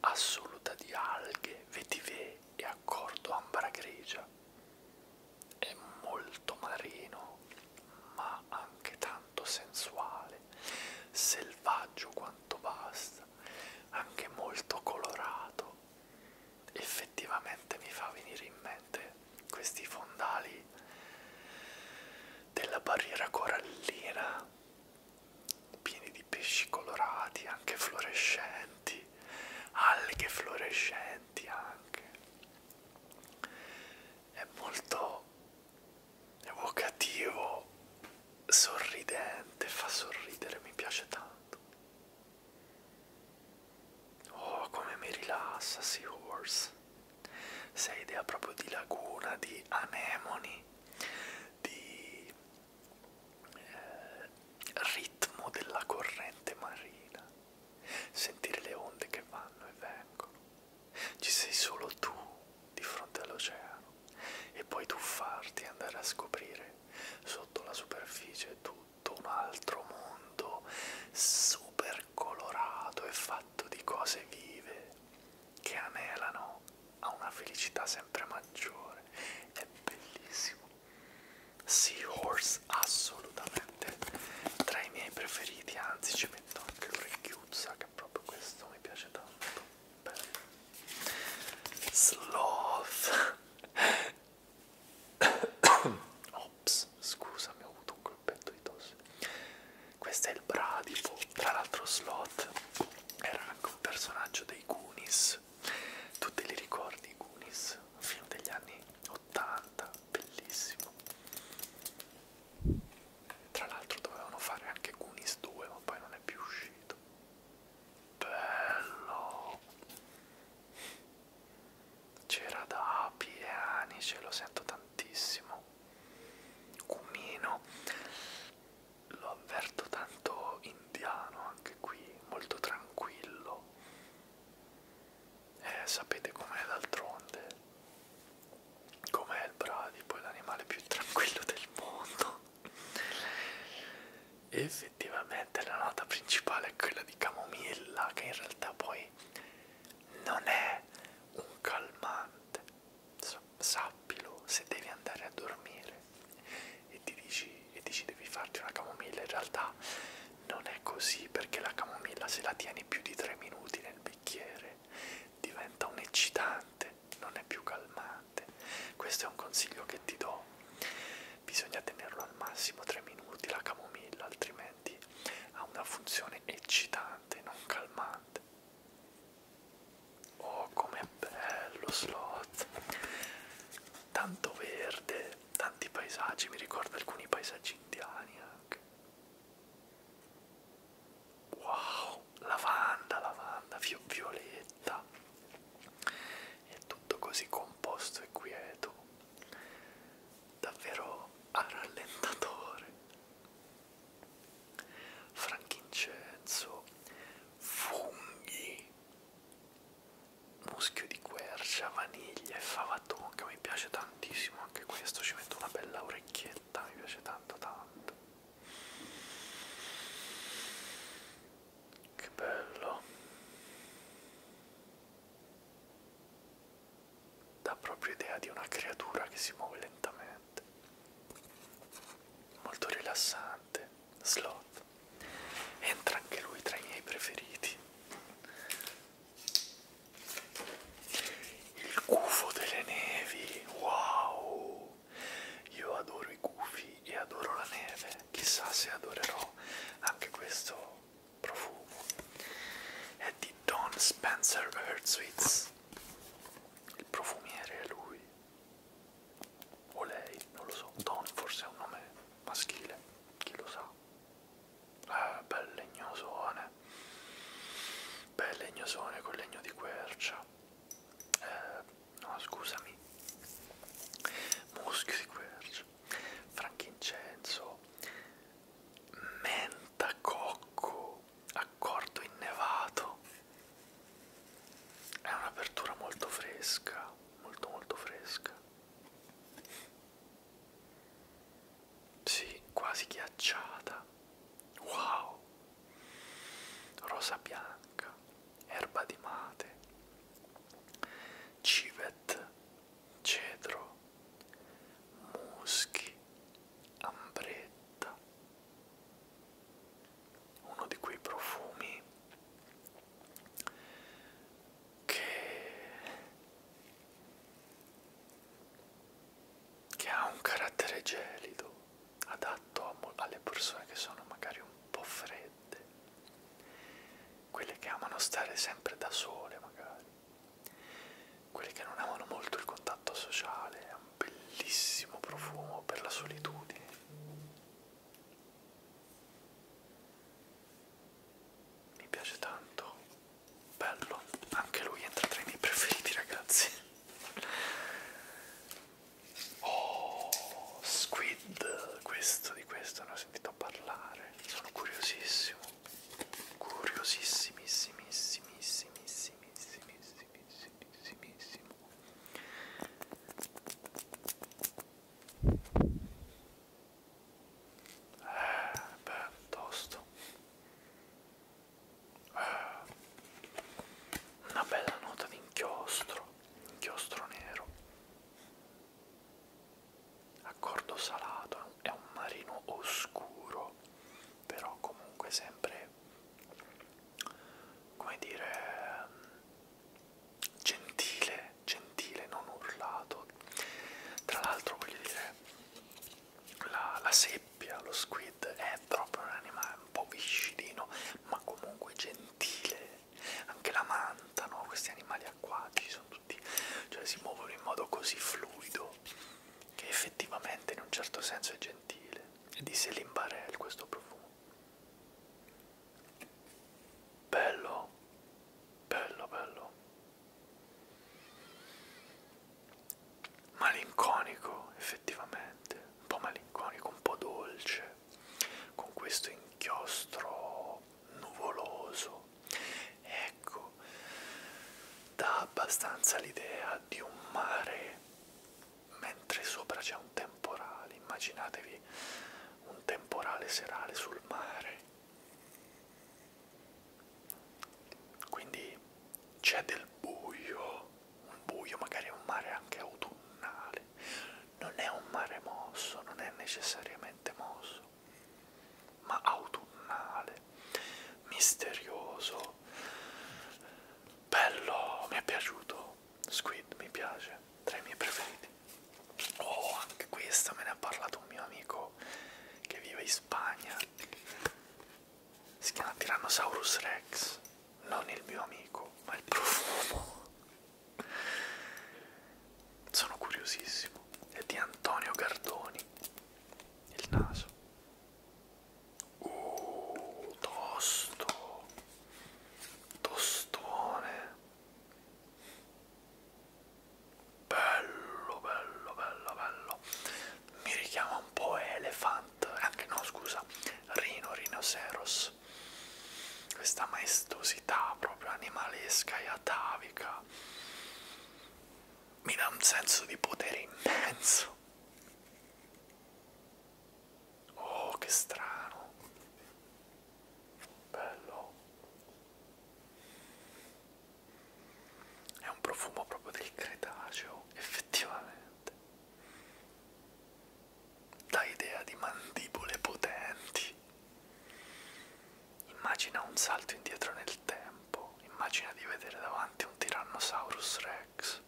Assoluta di alghe, vetive e accordo ambra grigia. È molto marino, ma anche tanto tanto sensuale, selvaggio quanto basta, anche molto colorato. Effettivamente mi fa venire in mente questi fondali della barriera corallina, pieni di pesci colorati, anche fluorescenti, alghe fluorescenti anche. È molto evocativo, sorridente, fa sorridere, mi piace tanto. Oh, come mi rilassa, Seahorse. Sei idea proprio di laguna, di anemoni, di eh, ritmo della corrente marina. Sentire le onde che vanno e vengono. Ci sei solo tu di fronte all'oceano e puoi tuffarti e andare a scoprire sotto la superficie tutto un altro mondo super colorato e fatto di cose vive che anelano a una felicità sempre maggiore. È bellissimo. Seahorse assolutamente tra i miei preferiti, anzi ci metto anche l'orecchio sa che proprio questo mi piace tanto bello sloth ops scusami ho avuto un colpetto di tosse questo è il bradipo tra l'altro sloth era anche un personaggio dei Goonies tu te li ricordi i Goonies fino degli anni 80 bellissimo tra l'altro dovevano fare anche Goonies 2, ma poi non è più uscito. Bello! C'era da piani, ce lo sento tantissimo. Cumino, lo avverto tanto indiano anche qui, molto tranquillo. Eh, sapete com'è d'altronde com'è il bradipo, è l'animale più tranquillo del mondo. E effettivamente la nota principale è quella di camomilla, che in realtà poi non è un calmante. Sappilo se devi andare a dormire e ti dici, e dici devi farti una camomilla, in realtà non è così perché la camomilla se la tieni più di 3 minuti nel bicchiere diventa un eccitante, non è più calmante. Questo è un consiglio che ti do. Bisogna tenerlo al massimo 3 minuti la camomilla, altrimenti ha una funzione eccitante, non calmante. Oh, com'è bello Sloth! Tanto verde, tanti paesaggi, mi ricorda alcuni paesaggi indiani anche. Wow, lavanda, lavanda, violetta. È tutto così composto e quieto. Davvero a rallentatore. Frankincenso, funghi, muschio di quercia, vaniglia e fava tonka. Mi piace tantissimo anche questo. Ci metto una bella orecchietta, mi piace tanto tanto tanto che bello dà proprio idea di una creatura che si muove lentamente molto rilassante sloth entra anche lui tra i miei preferiti il gufo delle nevi, wow! Io adoro i gufi e adoro la neve, chissà se adorerò anche questo profumo. È di Don Spencer Hertzwitz, il profumiere è lui, o lei, non lo so, Don forse è un nome maschile, chi lo sa. Eh, bel legnosone, Beh, legnosone con legno di quercia. Eh, no, scusami. Muschio di quercia. Frankincenso. Menta cocco. Accordo innevato. È un'apertura molto fresca, molto molto fresca sì, quasi ghiacciata. Wow! Rosa bianca, erba di mate, civet, cedro, muschi, ambretta. Uno di quei profumi che che ha un carattere gelido, adatto a alle persone che sono magari un po' fredde, quelle che amano stare sempre da sole magari, quelle che non amano molto il contatto sociale, ha un bellissimo profumo per la solitudine. Mi piace tanto bello, anche lui entra tra i miei preferiti ragazzi. Oh, Squid, questo di questo ne ho sentito parlare, sono curiosissimo, curiosissimissimissimissimissimissimissimo. Eh, beh, tosto una bella nota di inchiostro, inchiostro nero, accordo salato, è un marino oscuro, però comunque sempre, come dire, gentile, gentile, non urlato. Tra l'altro voglio dire, la, la sebe seppia, lo squid è proprio un animale un po' viscidino, ma comunque gentile. Anche la manta, no? questi animali acquatici sono tutti, cioè si muovono in modo così fluido che effettivamente in un certo senso è gentile. E di Selimbarel questo profumo. Bello, bello, bello malinconico effettivamente, un po' malinconico, un po' dolce, con questo inchiostro nuvoloso. Ecco, dà abbastanza l'idea di un mare mentre sopra c'è un temporale, immaginatevi un temporale serale sul mare quindi c'è del buio, un buio magari è un mare anche autunnale, non è un mare mosso, non è necessariamente mosso, ma autunnale, misterioso, bello, mi è piaciuto, Squid mi piace, tra i miei preferiti. Oh, anche questa me ne ha parlato un mio amico che vive in Spagna si chiama Tyrannosaurus Rex, non il mio amico, ma il profumo. Sono curiosissimo. È di Antonio Gardoni. Il naso. Uh, tosto. Tostone. Bello, bello, bello, bello mi richiama un po' Elephant, anche no scusa, Rino Rhinoceros, questa maestosità proprio animalesca e atavica mi dà un senso di potere immenso. Oh, che strano. Bello. È un profumo proprio del Cretaceo, effettivamente. Dà idea di mandibole potenti. Immagina un salto indietro nel tempo, immagina di vedere davanti un Tyrannosaurus Rex.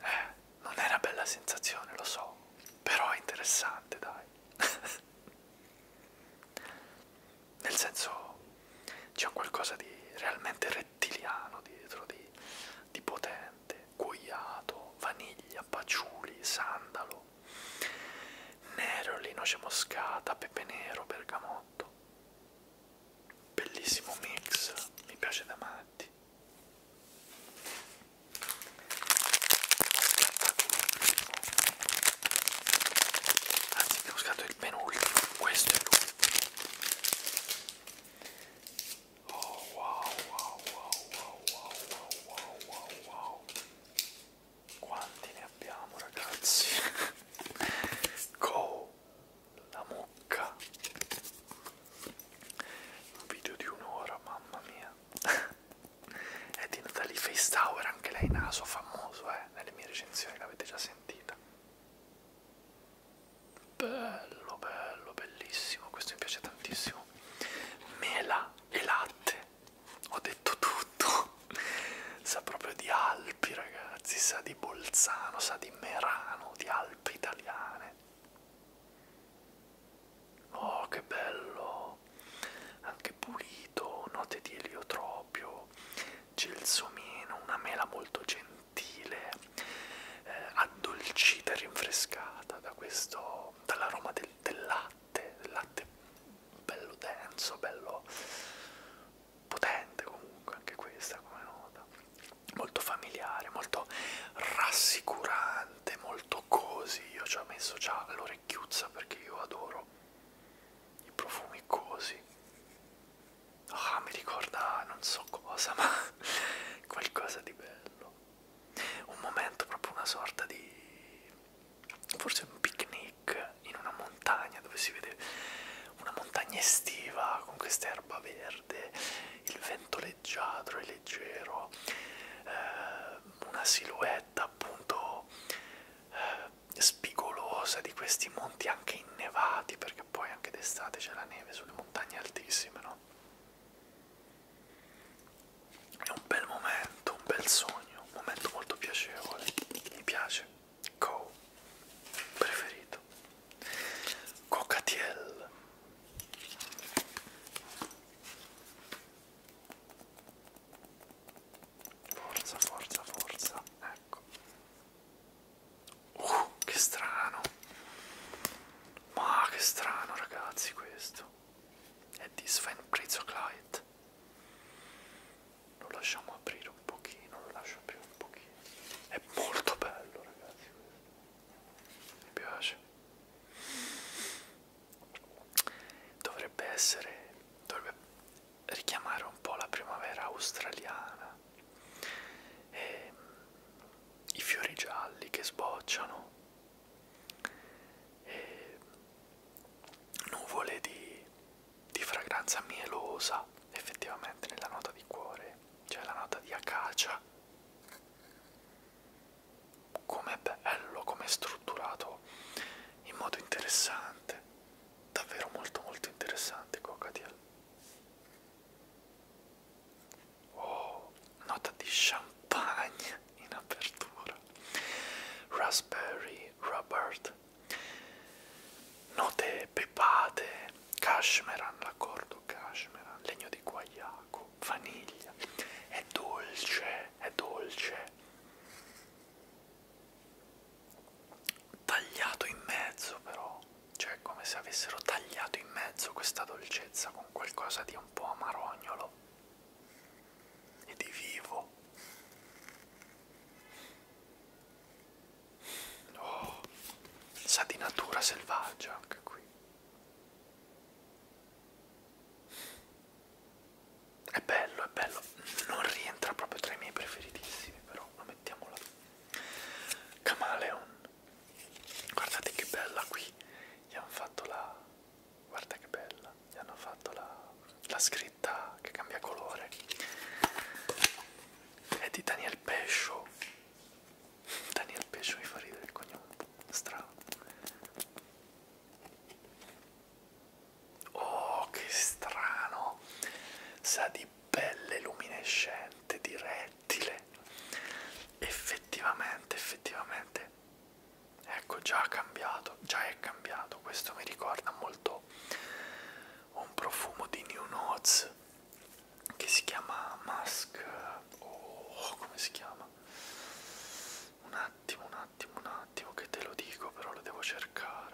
Eh, non è una bella sensazione, lo so, però è interessante, dai. nel senso c'è qualcosa di realmente rettiliano dietro, di, di potente, cuoiato, vaniglia, paciuli, sandalo, nero, linoce moscata, pepe nero, bergamotto. Bellissimo mix, mi piace da matti. Anzi, abbiamo scattato il penultimo, questo è l'ultimo. Oh wow wow wow wow wow wow wow wow Quanti ne abbiamo ragazzi Go la mucca Un video di un'ora mamma mia È di Natalie Face Tower anche lei naso famoso eh nelle mie recensioni l'avete già sentita bello bello bellissimo questo mi piace tantissimo mela e latte ho detto tutto sa proprio di Alpi ragazzi sa di Bolzano sa di Merano di Alpi italiane oh che bello anche pulito note di eliotropio gelsomino una mela molto gentile sottile, eh, addolcita e rinfrescata da questo, dall'aroma del, del latte, del latte bello denso, bello potente comunque, anche questa come nota, molto familiare, molto rassicurante, molto così, io ci ho messo già l'orecchiuzza perché io adoro i profumi così Ah, mi ricorda non so cosa, ma qualcosa di bello. Un momento, proprio una sorta di. forse un picnic in una montagna dove si vede una montagna estiva con questa erba verde, il vento leggiadro e leggero, eh, una silhouette appunto eh, spigolosa di questi monti anche innevati, perché poi anche d'estate c'è la neve sulle montagne altissime, no? È un bel momento, un bel sogno, un momento molto piacevole, mi piace. Co. Preferito. Cocatiel. Forza, forza, forza. Ecco. Uh, che strano. Ma che strano, ragazzi, questo. È di Sven Pritzoclite. Lo lasciamo aprire un pochino, lo lascio aprire un pochino. È molto bello, ragazzi, questo. Mi piace. Dovrebbe essere dovrebbe richiamare un po' la primavera australiana e mm, i fiori gialli che sbocciano e nuvole di, di fragranza mielosa effettivamente nella nota di cuore c'è cioè la nota di acacia com'è bello com'è strutturato in modo interessante davvero molto molto interessante coca cockatiel Oh, nota di champagne in apertura. Raspberry Robert. Note pepate, cashmeran, l'accordo cashmeran, legno di guaiaco, vaniglia. È dolce, è dolce tagliato in mezzo però, cioè come se avessero tagliato in mezzo questa dolcezza con qualcosa di un po' amarognolo e di vivo. Oh, sa di natura selvaggia anche qui. È bello, è bello. Non rientra proprio tra i miei preferitissimi, però lo mettiamo là. Camaleon. Guardate che bella qui. Gli hanno fatto la... Guarda che bella. Gli hanno fatto la, la scritta che cambia colore. È di Daniel Pescio. Daniel Pescio mi fa ridere il cognome. Strano. Oh, che strano. Sa di pelle luminescente di rettile effettivamente effettivamente ecco già cambiato già è cambiato questo mi ricorda molto un profumo di new notes che si chiama musk o oh, come si chiama un attimo un attimo un attimo che te lo dico però lo devo cercare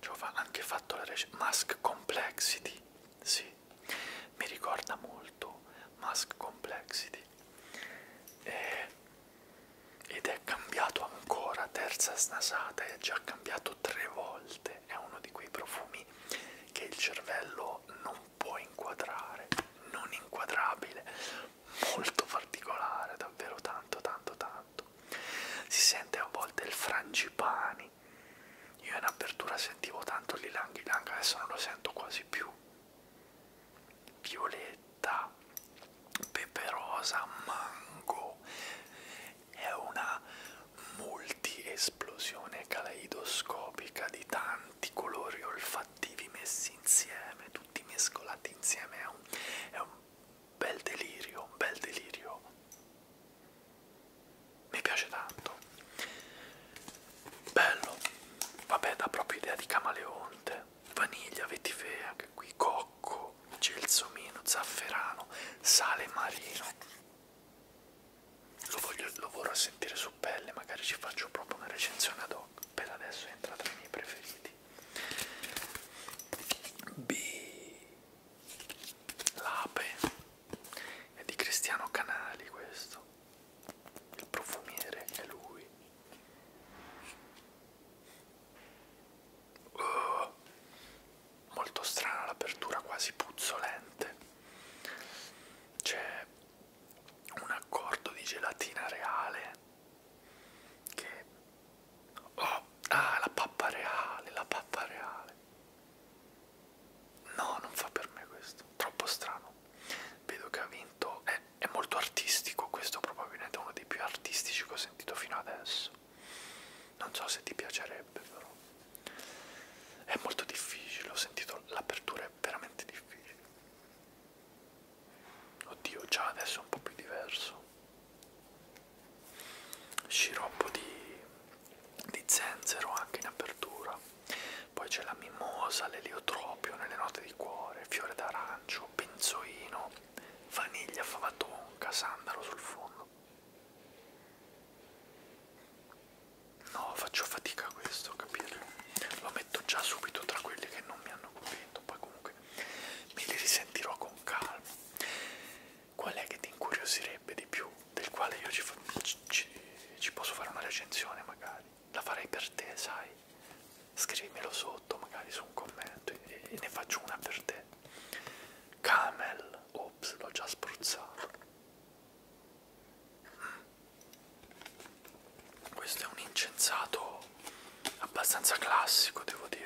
ci ho anche fatto la recensione. Mask Complexity, sì, mi ricorda molto Mask Complexity. E, eh, ed è cambiato ancora, terza snasata, è già cambiato tre volte. È uno di quei profumi che il cervello non può inquadrare, non inquadrabile, molto particolare, davvero tanto, tanto, tanto. Si sente a volte il frangipani. Io in apertura sentivo tanto l'ilang ilang, adesso non lo sento quasi più. Violetta, peperosa, mango. È una multi-esplosione caleidoscopica di tanti colori olfattivi messi insieme, tutti mescolati insieme. È un, è un bel delirio, un bel delirio. Mi piace tanto. Bello. Vabbè, dà proprio idea di camaleonte. Vaniglia, vetifea, anche qui, cocco, gelsomino, zafferano, sale marino. Lo, voglio, lo vorrò sentire su pelle, magari ci faccio proprio una recensione ad hoc. Per adesso entra tra i miei preferiti. B L'ape è di Cristiano Canali questo. Il profumiere è lui. Oh, molto strana l'apertura, quasi puzzolente. C'è un accordo di gelatina reale che Oh, ah, la pappa reale, la pappa reale. No, non fa per me questo, troppo strano. Vedo che ha vinto, è, è molto artistico, questo probabilmente è uno dei più artistici che ho sentito fino adesso. Non so se ti piacerebbe però. È molto difficile, ho sentito l'apertura è veramente difficile. Oddio, già adesso è un po' più diverso sciroppo di, di zenzero anche in apertura poi c'è la mimosa, l'eliotropio nelle note di cuore, fiore d'arancio, benzoino, vaniglia, fava tonka, sandalo sul fondo no faccio fatica a questo capirlo lo metto già subito tra quelli che non mi hanno convinto poi comunque me li risentirò con calma qual è che ti incuriosirebbe di più, del quale io ci, ci, ci posso fare una recensione magari, la farei per te, sai, scrivimelo sotto magari su un commento e, e ne faccio una per te. Camel, ops, l'ho già spruzzato. Mm. Questo è un incensato abbastanza classico, devo dire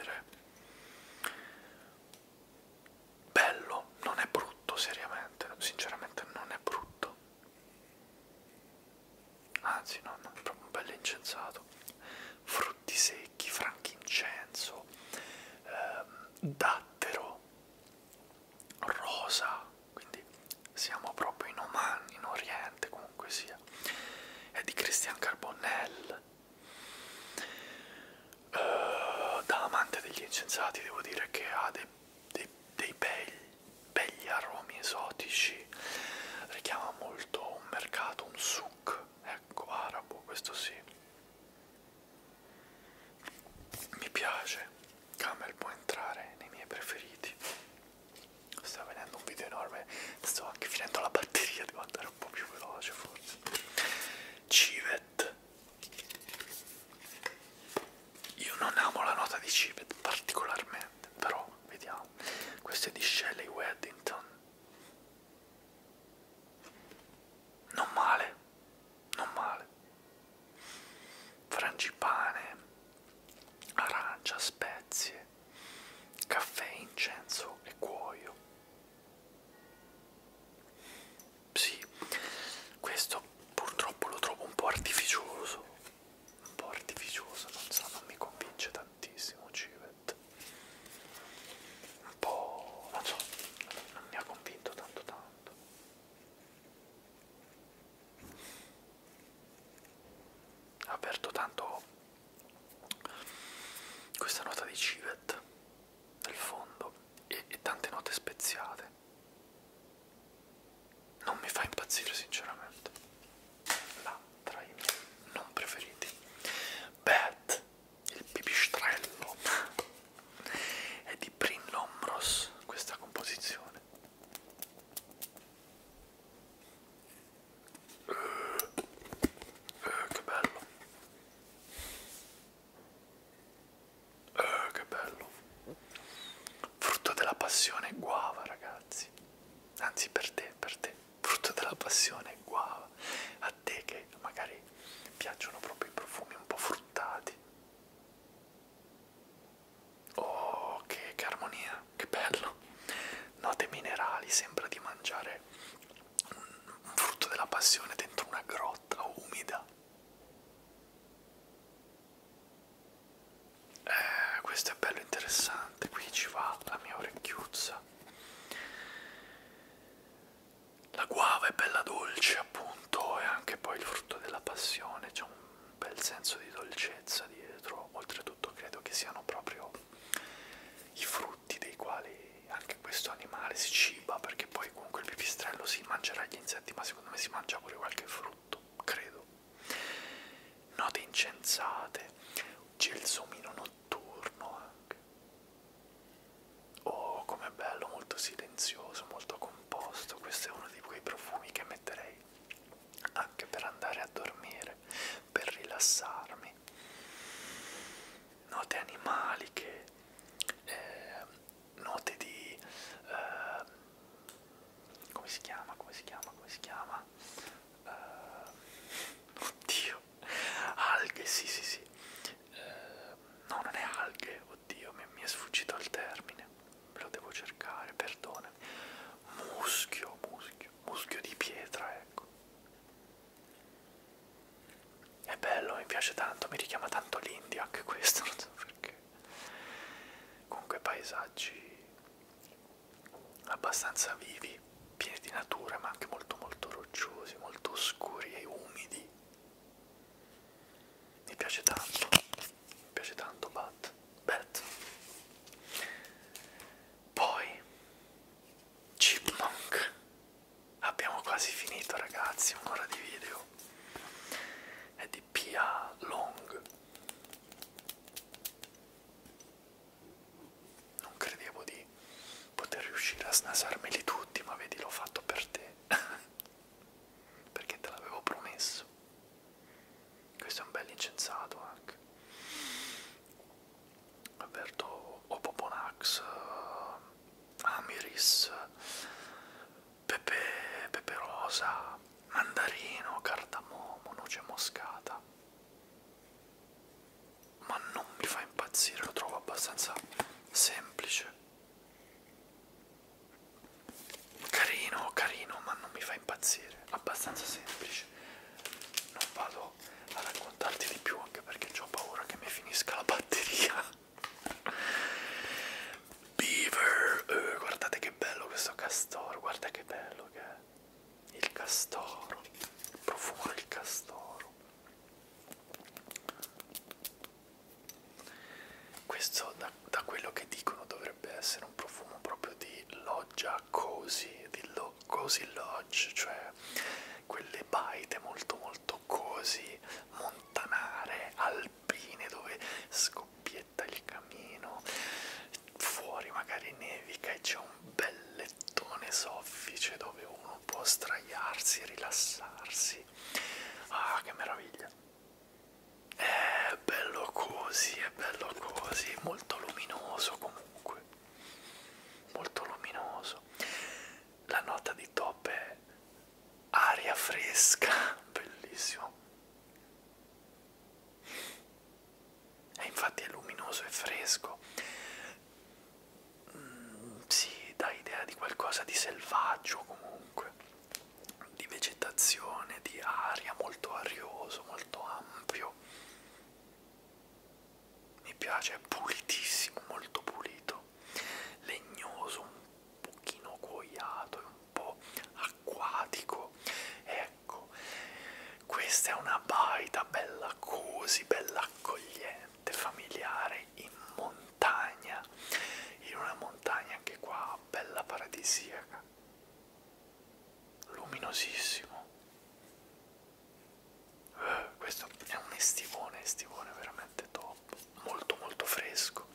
bello, non è brutto seriamente, sinceramente non è brutto. Anzi, no, no, è proprio un bel incensato. Frutti secchi, frankincenso, ehm, dattero, rosa, quindi siamo proprio in Oman, in Oriente comunque sia. È di Christian Carbonell Uh, da amante degli incensati devo dire che ha dei, dei, dei belli, belli aromi esotici, richiama molto un mercato, un souk, ecco, arabo, questo sì. Mi piace, Camel può entrare nei miei preferiti. Sta venendo un video enorme, sto anche finendo la batteria, devo andare un po' più veloce forse civet io non amo la nota di civet particolarmente però vediamo questo è di Shelley Weddington non male non male frangipane arancia spezie caffè incenso e cuoio sì, questo purtroppo lo trovo un po' artificioso, un po' artificioso, non so, non mi convince tantissimo Civet, un po', non so, non mi ha convinto tanto tanto. Aperto tanto questa nota di civet nel fondo e, e tante note speziate. Non mi fa impazzire sinceramente. Là, tra i miei non preferiti. Bat, il pipistrello, è di Prin Lombros questa composizione. Eh, eh, che bello. Eh, che bello. Frutto della passione guava, ragazzi. Anzi, per te, per te. Frutto della passione guava. A te che magari piacciono proprio i profumi un po' fruttati. Oh, che, che armonia, che bello. Note minerali, sembra di mangiare un frutto della passione dentro una grotta umida. Eh, questo è bello interessante, qui ci va la mia orecchiuzza. La guava è bella dolce appunto e anche poi il frutto della passione, c'è un bel senso di dolcezza dietro, oltretutto credo che siano proprio i frutti dei quali e anche questo animale si ciba perché poi comunque il pipistrello si mangerà gli insetti ma secondo me si mangia pure qualche frutto, credo. Note incensate, gelsomino notturno anche. Oh, com'è bello, molto silenzioso, molto composto. Questo è uno di quei profumi che metterei anche per andare a dormire, per rilassarmi. Note animaliche, eh, note di eh, come si chiama come si chiama come si chiama eh, oddio alghe sì sì sì eh, no non è alghe oddio mi, mi è sfuggito il termine me lo devo cercare perdonami muschio muschio muschio di pietra ecco è bello, mi piace tanto, mi richiama tanto l'India anche questo, non so perché. Comunque paesaggi abbastanza vivi, pieni di natura, ma anche molto molto rocciosi, molto oscuri e umidi. Mi piace tanto, mi piace tanto Bat. Bat. Poi Chipmunk Abbiamo quasi finito ragazzi, un'ora di video. È di Pia Long. Non credevo di poter riuscire a snasarmeli tutti, ma vedi l'ho fatto per te. Perché te l'avevo promesso. Questo è un bel incensato anche. Alberto Opoponax, eh, Amiris, Pepe, Pepe Rosa, Mandarino, Cardamomo, Noce Moscata. Ma non mi fa impazzire, lo trovo abbastanza semplice. Carino, carino, ma non mi fa impazzire, abbastanza semplice. Non vado a raccontarti di più anche perché ho paura che mi finisca la batteria Beaver uh, guardate che bello questo castoro guarda che bello che è il castoro il profumo del castoro questo da, da quello che dicono dovrebbe essere un profumo proprio di loggia cozy di lo, cozy lodge cioè quelle baite molto molto boscosi, montanare, alpine dove scoppietta il camino, fuori magari nevica e c'è un bel lettone soffice dove uno può straiarsi, rilassarsi. Ah, che meraviglia! È bello così, è bello così, molto luminoso comunque, molto luminoso la nota di top è aria fresca, bellissimo. E infatti è luminoso e fresco. Mm, si sì, dà idea di qualcosa di selvaggio comunque, di vegetazione, di aria molto arioso, molto ampio mi piace, è pulitissimo, molto pulito, legnoso, un pochino cuoiato e un po' acquatico. Ecco, questa è una baita bella così, bella accogliente, familiare, in montagna, in una montagna anche qua bella paradisiaca, luminosissimo. Uh, questo è un estivone, estivone veramente top, molto molto fresco.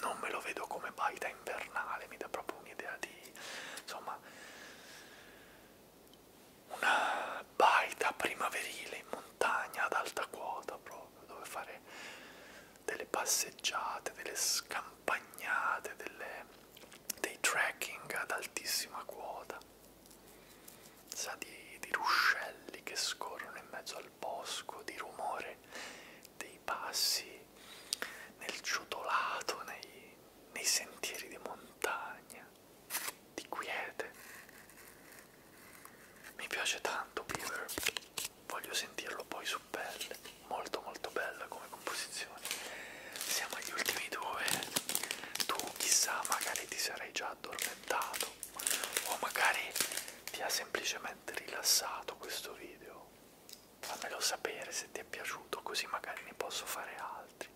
Non me lo vedo come baita invernale, mi dà proprio un'idea di insomma una baita primaverile in montagna ad alta quota proprio dove fare delle passeggiate, delle scampagnate, delle, dei trekking ad altissima quota sa di, di ruscelli che scorrono in mezzo al bosco, di rumore dei passi nel ciotolato, nei, nei sentieri di montagna, di quiete. Mi piace tanto Beaver, voglio sentirlo poi su pelle, molto molto bella come composizione. Siamo agli ultimi due, tu chissà magari ti sarai già addormentato o magari ti ha semplicemente rilassato questo video fammelo sapere se ti è piaciuto così magari ne posso fare altri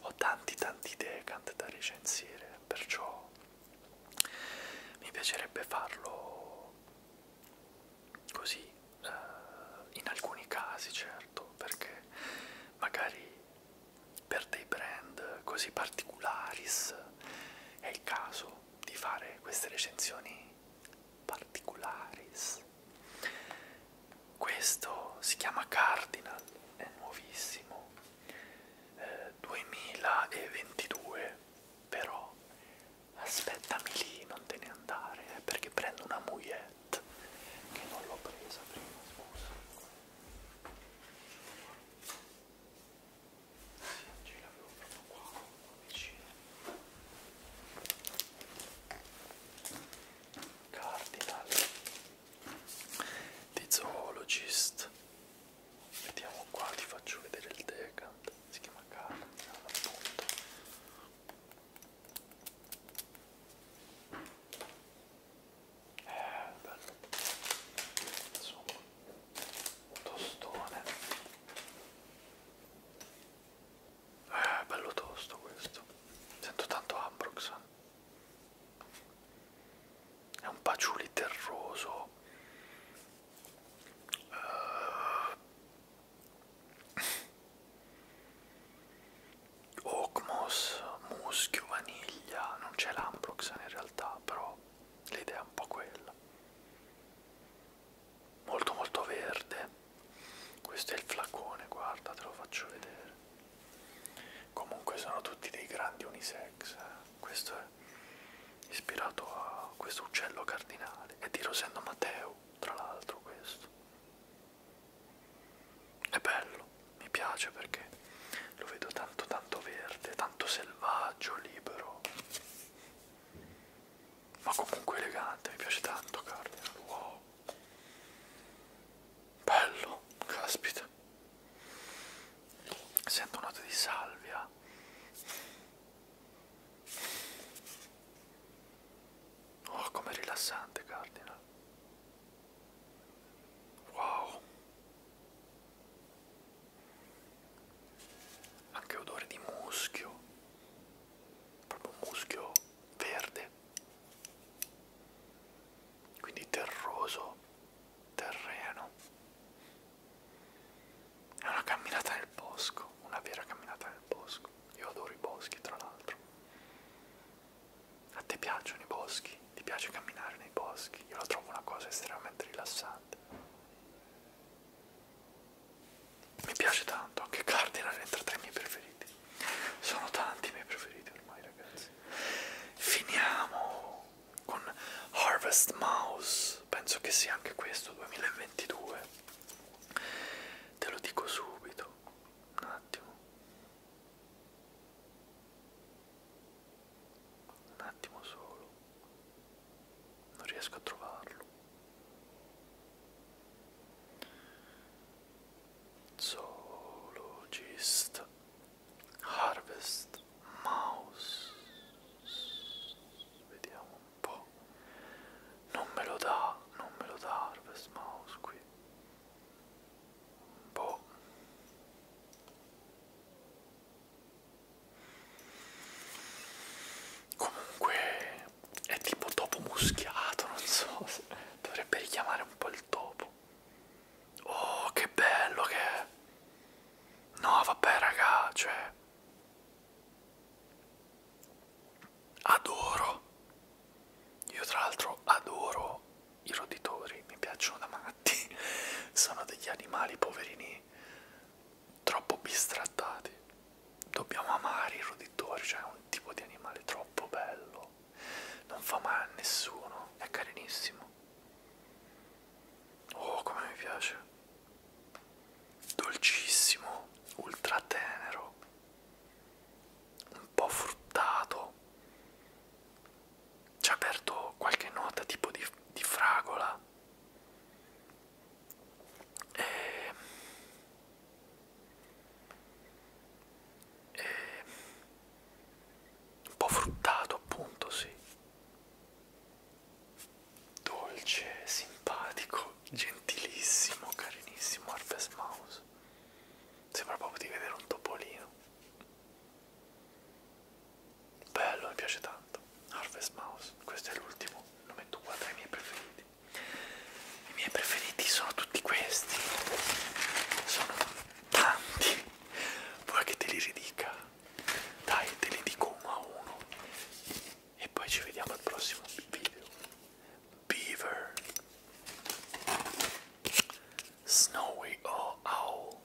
ho tanti tanti idee cante da recensire perciò mi piacerebbe farlo così eh, in alcuni casi certo perché magari per dei brand così particularis è il caso di fare queste recensioni particularis questo si chiama Cardinal è nuovissimo eh, 2022 però aspettami lì non te ne andare eh, perché prendo una mouillette che non l'ho presa prima scusa ce l'avevo proprio qua, qua vicino Cardinal di Zoologist vediamo qua, ti faccio vedere il decant si chiama Cardinal appunto eh, bello insomma tostone eh, bello tosto questo sento tanto Ambroxan eh. è un paciuli terroso eh, Oakmos, muschio, vaniglia, non c'è l'Ambroxan in realtà realtà, però l'idea è un po' quella. Molto molto verde. Questo è il flacone, guarda, te lo faccio vedere. Comunque sono tutti dei grandi unisex. Eh. Questo è ispirato a questo uccello cardinale. È di Rosendo Matteo, tra l'altro questo è bello, mi piace perché lo vedo tanto tanto verde, tanto selvaggio, libero, ma comunque elegante, mi piace tanto Cardinal, wow, bello, caspita, sento note di salvia. Oh, com'è rilassante Cardinal. Wow. Anche odore di muschio. Proprio muschio verde. Quindi terroso terreno. È una camminata nel bosco, una vera camminata nel bosco. Io adoro i boschi, tra l'altro. A te piacciono i boschi? Ti piace camminare nei boschi? Io la trovo una cosa estremamente rilassante. Mi piace tanto, anche Cardinal entra tra i miei preferiti. Sono tanti i miei preferiti ormai, ragazzi. Finiamo con Harvest Mouse, penso che sia anche questo 2022. Te lo dico subito, un attimo. Un attimo solo. Non riesco a trovarlo. Zoologist Harvest Mouse. Vediamo un po'. Non me lo dà, non me lo dà Harvest Mouse qui. Boh. Comunque è tipo topo muschiato, non so, dovrebbe richiamare un po' il topo. Oh, che bello che è. No, vabbè, raga, cioè adoro. Io tra l'altro adoro i roditori mi piacciono da matti, sono degli animali poverini troppo bistrattati. Dobbiamo amare i roditori, cioè è un tipo di animale troppo bello, non fa male a nessuno, è carinissimo. Oh, come mi piace! Dolcissimo, ultra tenero, un po' fruttato, ci ha aperto qualche nota tipo di, di fragola e, e, un po' fruttato appunto sì dolce simpatico gentilissimo carinissimo Harvest Mouse sembra proprio di vedere un topolino Bello, mi piace tanto. Harvest Mouse, questo è l'ultimo, lo metto qua tra i miei preferiti. I miei preferiti sono tutti questi. Sono tanti. Vuoi che te li ridica? Dai, te li dico uno a uno. E poi ci vediamo al prossimo video. Beaver. Snowy Owl.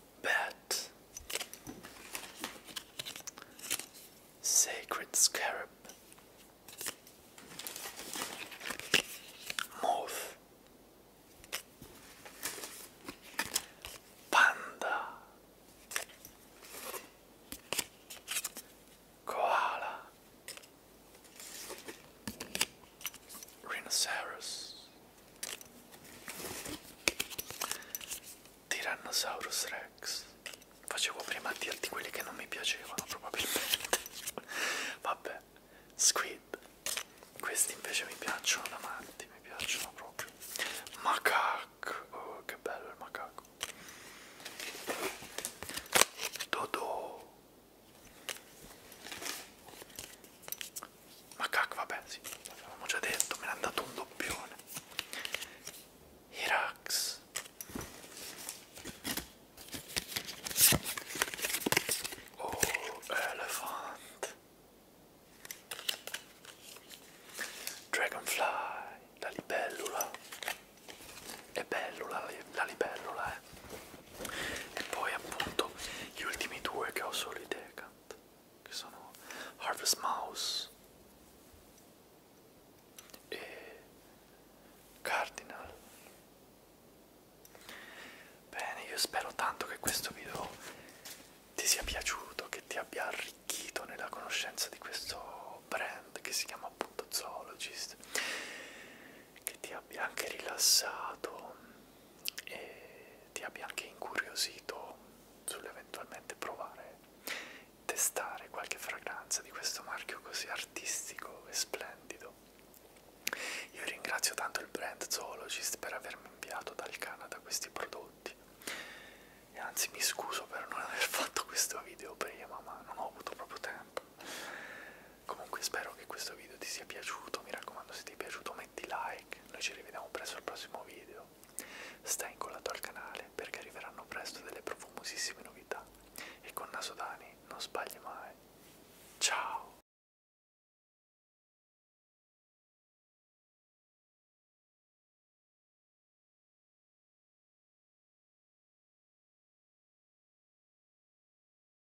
bat, sacred scarab, moth, panda, koala. Rhinoceros Tyrannosaurus Rex Facevo prima a dirti quelli che non mi piacevano probabilmente Vabbè Squid Questi invece mi piacciono da matti Mi piacciono proprio Macaco Oh che bello il macaco Dodo ma cac vabbè sì l'avevamo già detto me ne ha dato un doppione Irax oh elefante Dragonfly, la libellula, è bellula la libellula eh. E poi appunto gli ultimi due che ho solo in teca Hunt, che sono Harvest Mouse e Cardinal. Bene, io spero tanto che questo video ti sia piaciuto, che ti abbia arricchito nella conoscenza di questo brand che si chiama appunto Zoologist, che ti abbia anche rilassato e ti abbia anche incuriosito sull'eventualmente provare, testare qualche fragranza di questo marchio così artistico e splendido. Io ringrazio tanto il brand Zoologist per avermi inviato dal Canada questi prodotti e anzi mi scuso per non aver fatto questo video prima ma non ho avuto proprio tempo. Comunque spero che questo video ti sia piaciuto, mi raccomando se ti è piaciuto metti like, noi ci rivediamo presto al prossimo video, stai incollato al canale perché arriveranno presto delle profumosissime novità e con Nasodani non sbagli mai. Ciao!